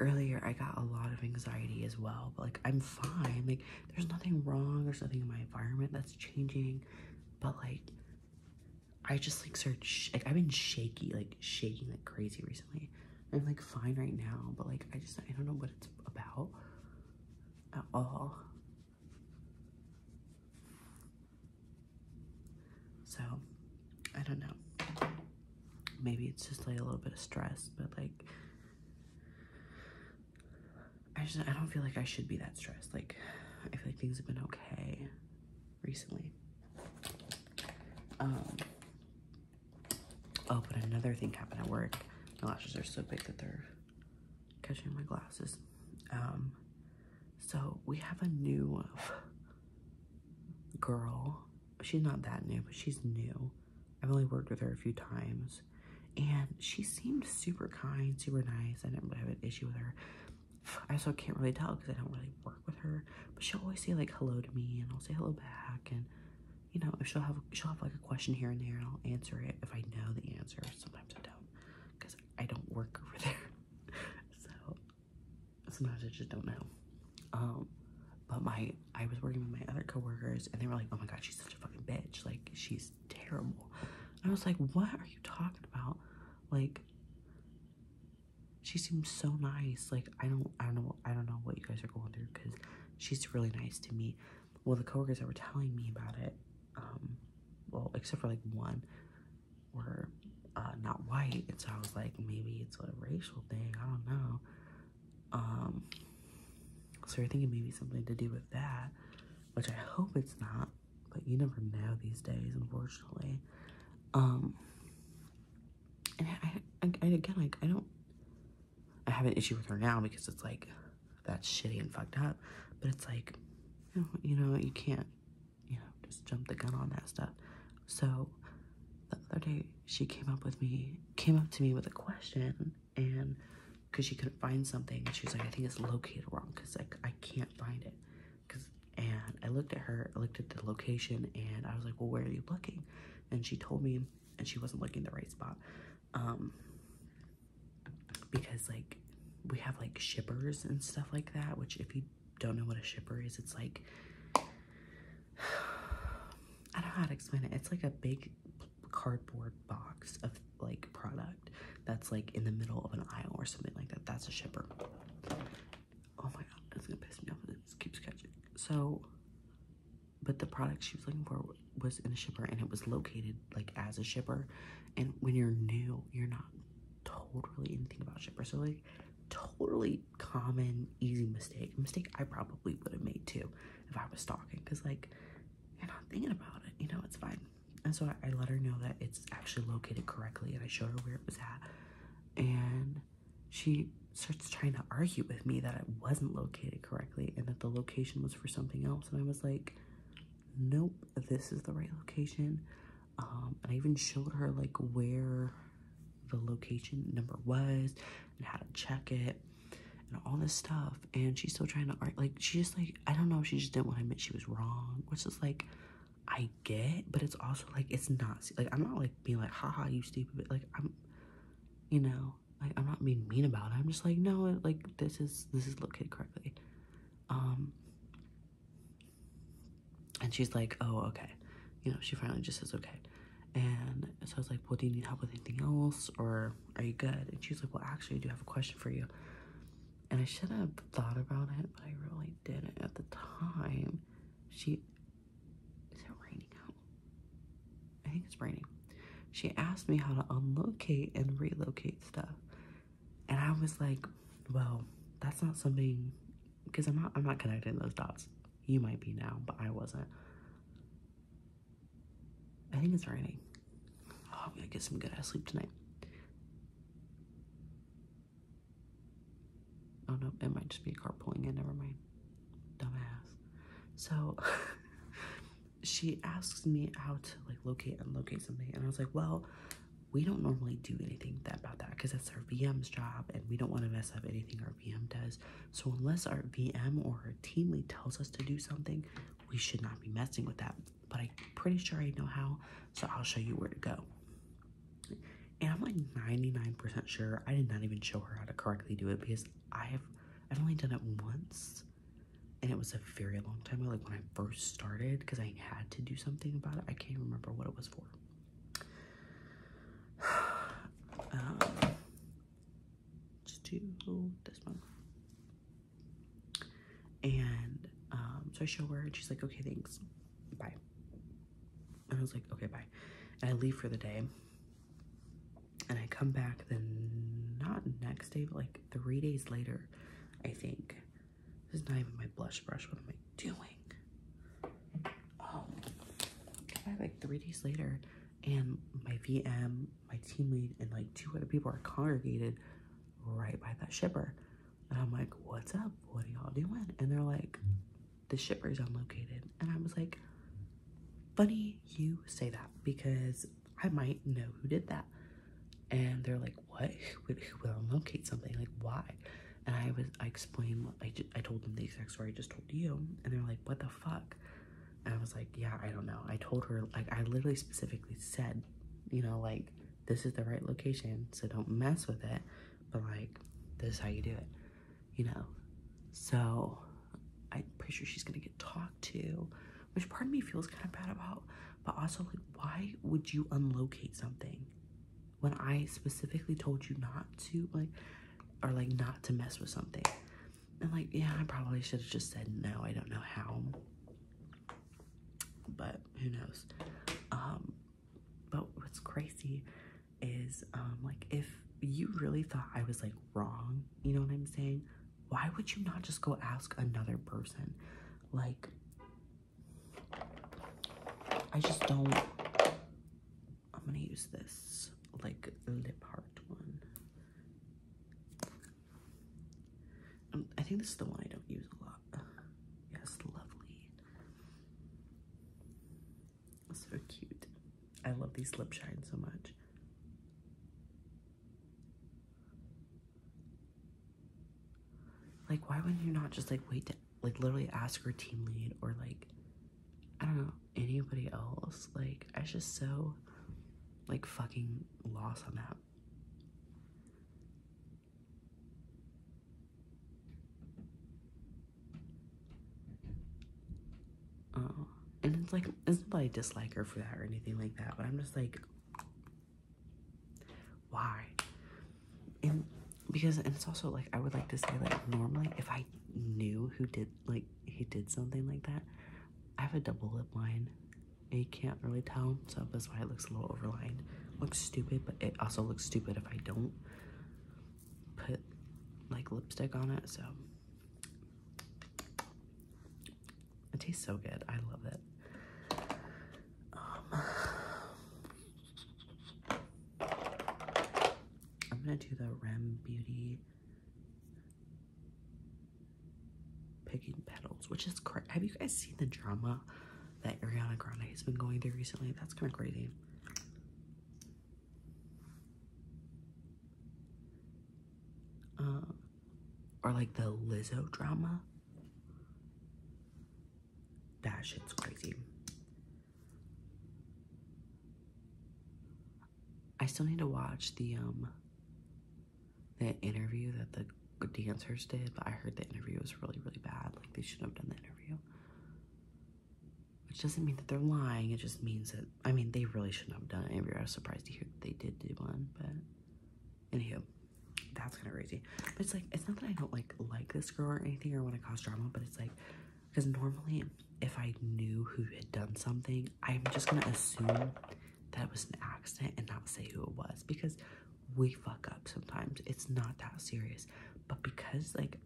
earlier, I got a lot of anxiety as well. But like, I'm fine. Like, there's nothing wrong. There's nothing in my environment that's changing. But like, I just like started, like, I've been shaky, like shaking like crazy recently. I'm like fine right now, but like, I just, I don't know what it's about at all. So, I don't know. Maybe it's just like a little bit of stress, but like I just I don't feel like I should be that stressed. Like I feel like things have been okay recently. Um Oh, but another thing happened at work. My lashes are so big that they're catching my glasses. Um, so we have a new uh, girl. She's not that new, but she's new. I've only worked with her a few times. And she seemed super kind, super nice. I didn't have an issue with her. I still can't really tell because I don't really work with her. But she'll always say like hello to me and I'll say hello back and you know, if she'll have she'll have like a question here and there I'll answer it if I know the answer. Sometimes I don't because I don't work over there. so sometimes I just don't know. Um, but my I was working with my other coworkers and they were like, oh my god, she's such a fucking bitch. Like she's terrible. I was like, what are you talking about? Like she seems so nice. Like I don't I don't know I don't know what you guys are going through because she's really nice to me well, the coworkers that were telling me about it, um, well, except for like one, were uh, not white. And so I was like, maybe it's a racial thing. I don't know. Um, so you're thinking maybe something to do with that, which I hope it's not. But you never know these days, unfortunately. Um, and I, I again, like, I don't, I have an issue with her now because it's like, that's shitty and fucked up. But it's like, you know, you can't, you know, just jump the gun on that stuff. So the other day, she came up with me, came up to me with a question, and because she couldn't find something, and she was like, I think it's located wrong because like I can't find it. Cause, and I looked at her, I looked at the location, and I was like, Well, where are you looking? And she told me, and she wasn't looking the right spot. Um, because like we have like shippers and stuff like that which if you don't know what a shipper is it's like I don't know how to explain it it's like a big cardboard box of like product that's like in the middle of an aisle or something like that that's a shipper oh my god that's gonna piss me off it keeps catching so but the product she was looking for was in a shipper and it was located like as a shipper and when you're new you're not totally anything about shipper, so like totally common easy mistake mistake i probably would have made too if i was stalking because like you're not thinking about it you know it's fine and so I, let her know that it's actually located correctly and i show her where it was at and she starts trying to argue with me that it wasn't located correctly and that the location was for something else and i was like nope, this is the right location. Um, I even showed her like where the location number was and how to check it and all this stuff. And she's still trying to art like she just like I don't know, she just didn't want to admit she was wrong, which is like I get, but it's also like it's not like I'm not like being like haha you stupid like I'm you know, like I'm not being mean about it. I'm just like no like this is this is located correctly. Um, and she's like, oh, okay. You know, she finally just says, okay. And so I was like, well, do you need help with anything else? Or are you good? And she's like, well, actually, I do have a question for you. And I should have thought about it, but I really didn't at the time. She, is it raining out? I think it's raining. She asked me how to unlocate and relocate stuff. And I was like, well, that's not something because I'm not I'm not connecting those dots. You might be now, but I wasn't. I think it's raining. Oh, I'm gonna get some good ass sleep tonight. Oh no, it might just be a car pulling in, never mind. Dumbass. So she asks me how to like locate and locate something and i was like well we don't normally do anything about that because that's our vm's job and we don't want to mess up anything our vm does so unless our vm or our team lead tells us to do something we should not be messing with that but i'm pretty sure i know how so i'll show you where to go and i'm like 99% sure i did not even show her how to correctly do it because i have i've only done it once and it was a very long time ago, like when I first started, because I had to do something about it. I can't remember what it was for. um, just this one. And um, so I show her, and she's like, okay, thanks. Bye. And I was like, okay, bye. And I leave for the day. And I come back then, not next day, but like three days later, I think. This is not even my blush brush. What am I doing? Oh, I like three days later, and my VM, my team lead, and like two other people are congregated right by that shipper. And I'm like, what's up? What are y'all doing? And they're like, the shipper is unlocated. And I was like, funny you say that because I might know who did that. And they're like, what? Who would, who would something? Like, why? And I was, I explained, I, just, I told them the exact story I just told you. And they're like, what the fuck? And I was like, yeah, I don't know. I told her, like, I literally specifically said, you know, like, this is the right location, so don't mess with it. But, like, this is how you do it, you know? So, I'm pretty sure she's gonna get talked to which part of me feels kind of bad about, but also like, why would you unlocate something when I specifically told you not to like, or like not to mess with something? And like, yeah, I probably should have just said no. I don't know how, but who knows? Um, but what's crazy is um, like if you really thought I was like wrong, you know what I'm saying? Why would you not just go ask another person? Like, I just don't. I'm gonna use this like lip heart one. Um, I think this is the one I don't use a lot. yes, lovely. So cute. I love these lip shine so much. Like, why would you not just like wait to like literally ask your team lead or like I don't know anybody else? Like, I just so like fucking lost on that. Oh, and it's like is not dislike her for that or anything like that, but I'm just like why? And because and it's also like I would like to say like normally if I knew who did like he did something like that, I have a double lip line. And you can't really tell, so that's why it looks a little overlined. Looks stupid, but it also looks stupid if I don't put like lipstick on it, so it tastes so good. I love it. Um, I'm gonna do the Rem Beauty Picking Petals, which is crazy. Have you guys seen the drama that Ariana Grande has been going through recently? That's kind of crazy. Um, or like the Lizzo drama. That shit's crazy. I still need to watch the um the interview that the dancers did, but I heard the interview was really, really bad. Like they shouldn't have done the interview. Which doesn't mean that they're lying, it just means that I mean they really shouldn't have done it. interview. I was surprised to hear that they did do one, but Anywho, that's kind of crazy. But it's like, it's not that I don't like like this girl or anything or want to cause drama, but it's like, because normally if I knew who had done something, I'm just gonna assume that it was an accident and not say who it was because we fuck up sometimes. It's not that serious. But because like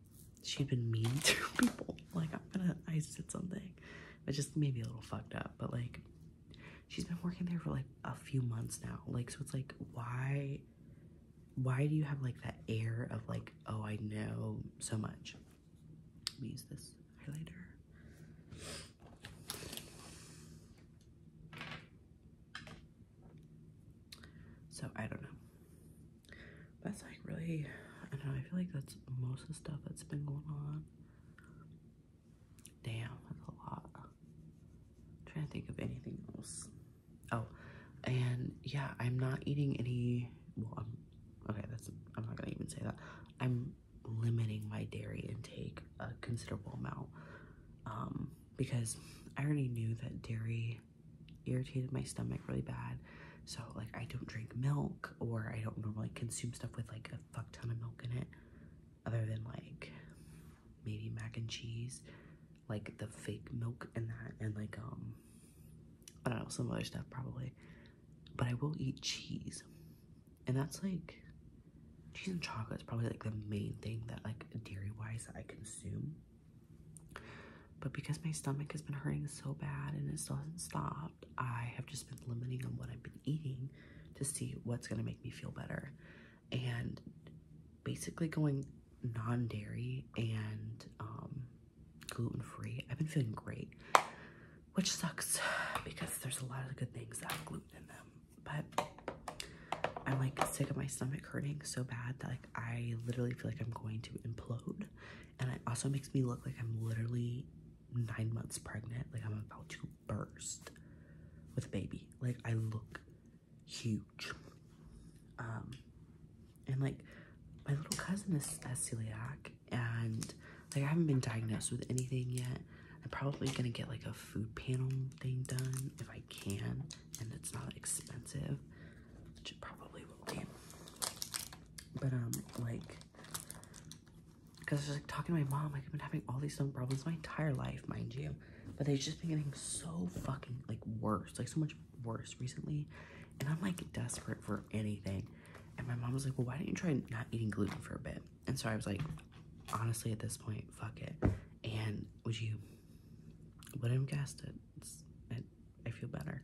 she'd been mean to people, like I'm gonna I said something. I just made me a little fucked up. But like she's been working there for like a few months now like so it's like why why do you have like that air of like oh i know so much let use this highlighter so i don't know that's like really i don't i feel like that's most of the stuff that's been going on Damn, that's a lot. trying to think of anything else. Oh, and yeah, I'm not eating any. Well, okay. That's I'm not gonna even say that. I'm limiting my dairy intake a considerable amount um, because I already knew that dairy irritated my stomach really bad. So like I don't drink milk or I don't normally consume stuff with like a fuck ton of milk in it other than like maybe mac and cheese, like the fake milk and that, and like, um, I don't know, some other stuff probably. But I will eat cheese, and that's like cheese and chocolate is probably like the main thing that, like, dairy wise, I consume. But because my stomach has been hurting so bad and it still hasn't stopped, I have just been limiting on what I've been eating to see what's gonna make me feel better and basically going non-dairy and um, gluten-free. I've been feeling great, which sucks because there's a lot of good things that have gluten in them. But I'm like sick of my stomach hurting so bad that like I literally feel like I'm going to implode. And it also makes me look like I'm literally nine months pregnant. Like I'm about to burst with a baby. Like I look huge. Um, and like my little cousin is has celiac, and like I haven't been diagnosed with anything yet. I'm probably gonna get like a food panel thing done if I can, and it's not expensive, which it probably will be. But um, like, because I was like talking to my mom, like I've been having all these stomach problems my entire life, mind you but they've just been getting so fucking like worse, like so much worse recently. And I'm like desperate for anything. And my mom was like, Well, why do not you try not eating gluten for a bit? And so I was like, Honestly, at this point, fuck it. And would you, would I'm guessed it, I feel better.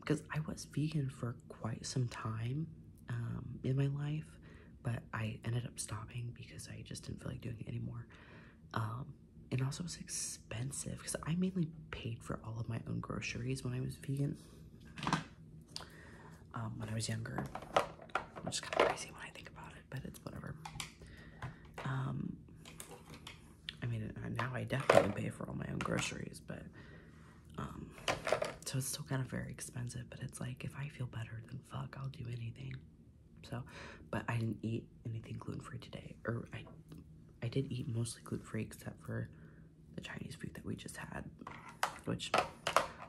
Because um, I was vegan for quite some time um, in my life, but I ended up stopping because I just didn't feel like doing it anymore. Um, and also, it's expensive because I mainly paid for all of my own groceries when I was vegan. Um, when I was younger, I'm just kind of crazy when I think about it, but it's whatever. Um, I mean, uh, now I definitely pay for all my own groceries, but so it's still kind of very expensive. But it's like if I feel better, then fuck, I'll do anything. So, but I didn't eat anything gluten-free today. Or I I did eat mostly gluten-free except for the Chinese food that we just had, which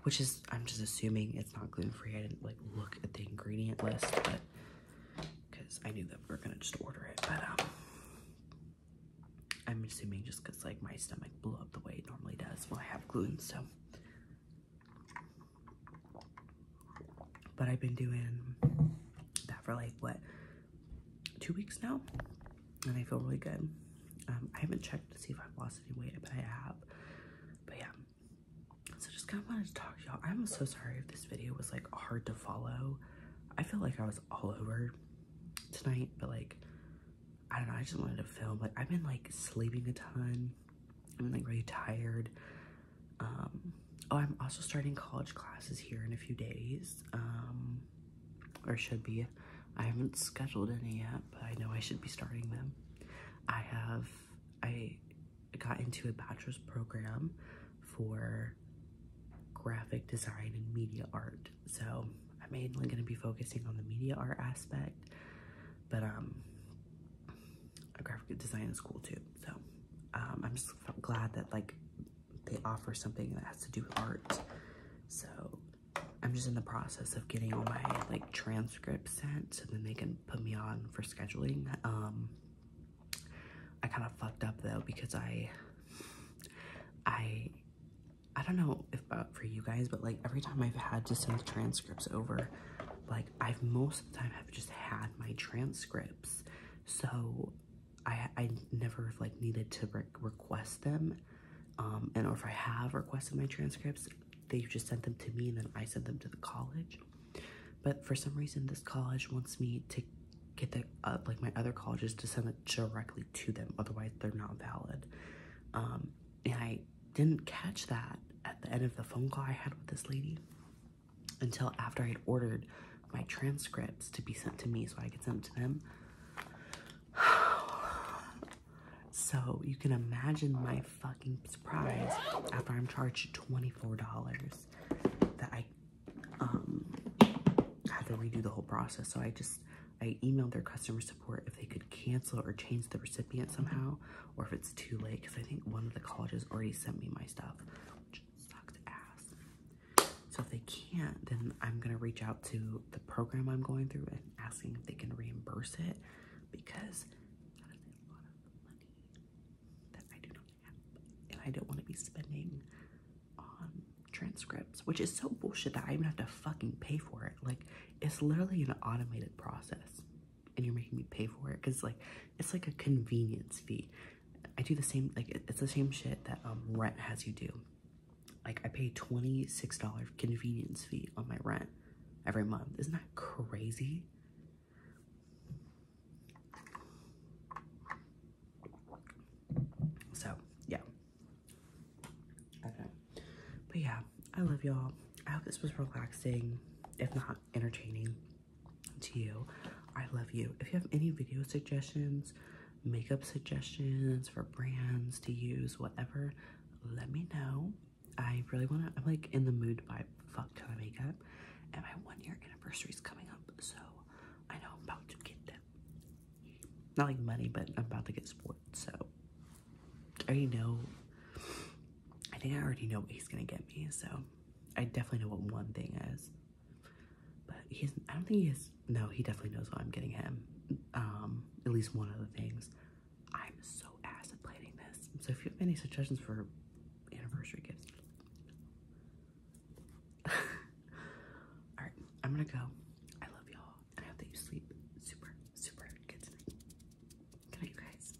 which is I'm just assuming it's not gluten-free. I didn't like look at the ingredient list, but because I knew that we are gonna just order it, but um I'm assuming just because like my stomach blew up the way it normally does when I have gluten, so but I've been doing that for like what two weeks now, and I feel really good. Um, I haven't checked to see if I've lost any weight, but I have. But yeah, so just kind of wanted to talk to y'all. I'm so sorry if this video was like hard to follow. I feel like I was all over tonight, but like I don't know. I just wanted to film. Like I've been like sleeping a ton. I'm like really tired. Um, oh, I'm also starting college classes here in a few days, um, or should be. I haven't scheduled any yet, but I know I should be starting them. I have, I got into a bachelor's program for graphic design and media art. So I'm mainly going to be focusing on the media art aspect, but um, a graphic design is cool too. So um, I'm just glad that like they offer something that has to do with art. So I'm just in the process of getting all my like transcripts sent so then they can put me on for scheduling. Um, I kind of fucked up though because I, I, I don't know if uh, for you guys, but like every time I've had to send transcripts over, like I've most of the time have just had my transcripts, so I I never like needed to request them, um, and or if I have requested my transcripts, they have just sent them to me and then I sent them to the college. But for some reason, this college wants me to get the uh, like my other colleges to send it directly to them. Otherwise, they're not valid. Um, and I didn't catch that at the end of the phone call I had with this lady until after I had ordered my transcripts to be sent to me so I could send them to them. so you can imagine my fucking surprise after I'm charged $24 that I um, had to redo the whole process. So I just, I emailed their customer support if they could cancel or change the recipient somehow or if it's too late because I think one of the colleges already sent me my stuff, which sucks ass. So if they can't, then I'm gonna reach out to the program I'm going through and asking if they can reimburse it because I do not I don't want to be spending on transcripts, which is so bullshit that I even have to fucking pay for it. Like it's literally an automated process and you're making me pay for it because like it's like a convenience fee i do the same like it's the same shit that um rent has you do like i pay 26 dollars convenience fee on my rent every month isn't that crazy so yeah okay but yeah i love y'all i hope this was relaxing if not entertaining to you. I love you. If you have any video suggestions, makeup suggestions for brands to use, whatever, let me know. I really want to, I'm like in the mood by fuck ton of makeup, and my one year anniversary is coming up, so I know I'm about to get them. Not like money, but I'm about to get sports, so I already know. I think I already know what he's gonna get me, so I definitely know what one thing is. But he's I don't think he is no, he definitely knows what I'm getting him. Um, at least one of the things. I'm so ass at planning this. So if you have any suggestions for anniversary gifts. Alright, I'm gonna go. I love y'all and I hope that you sleep super, super good tonight. Good night you guys.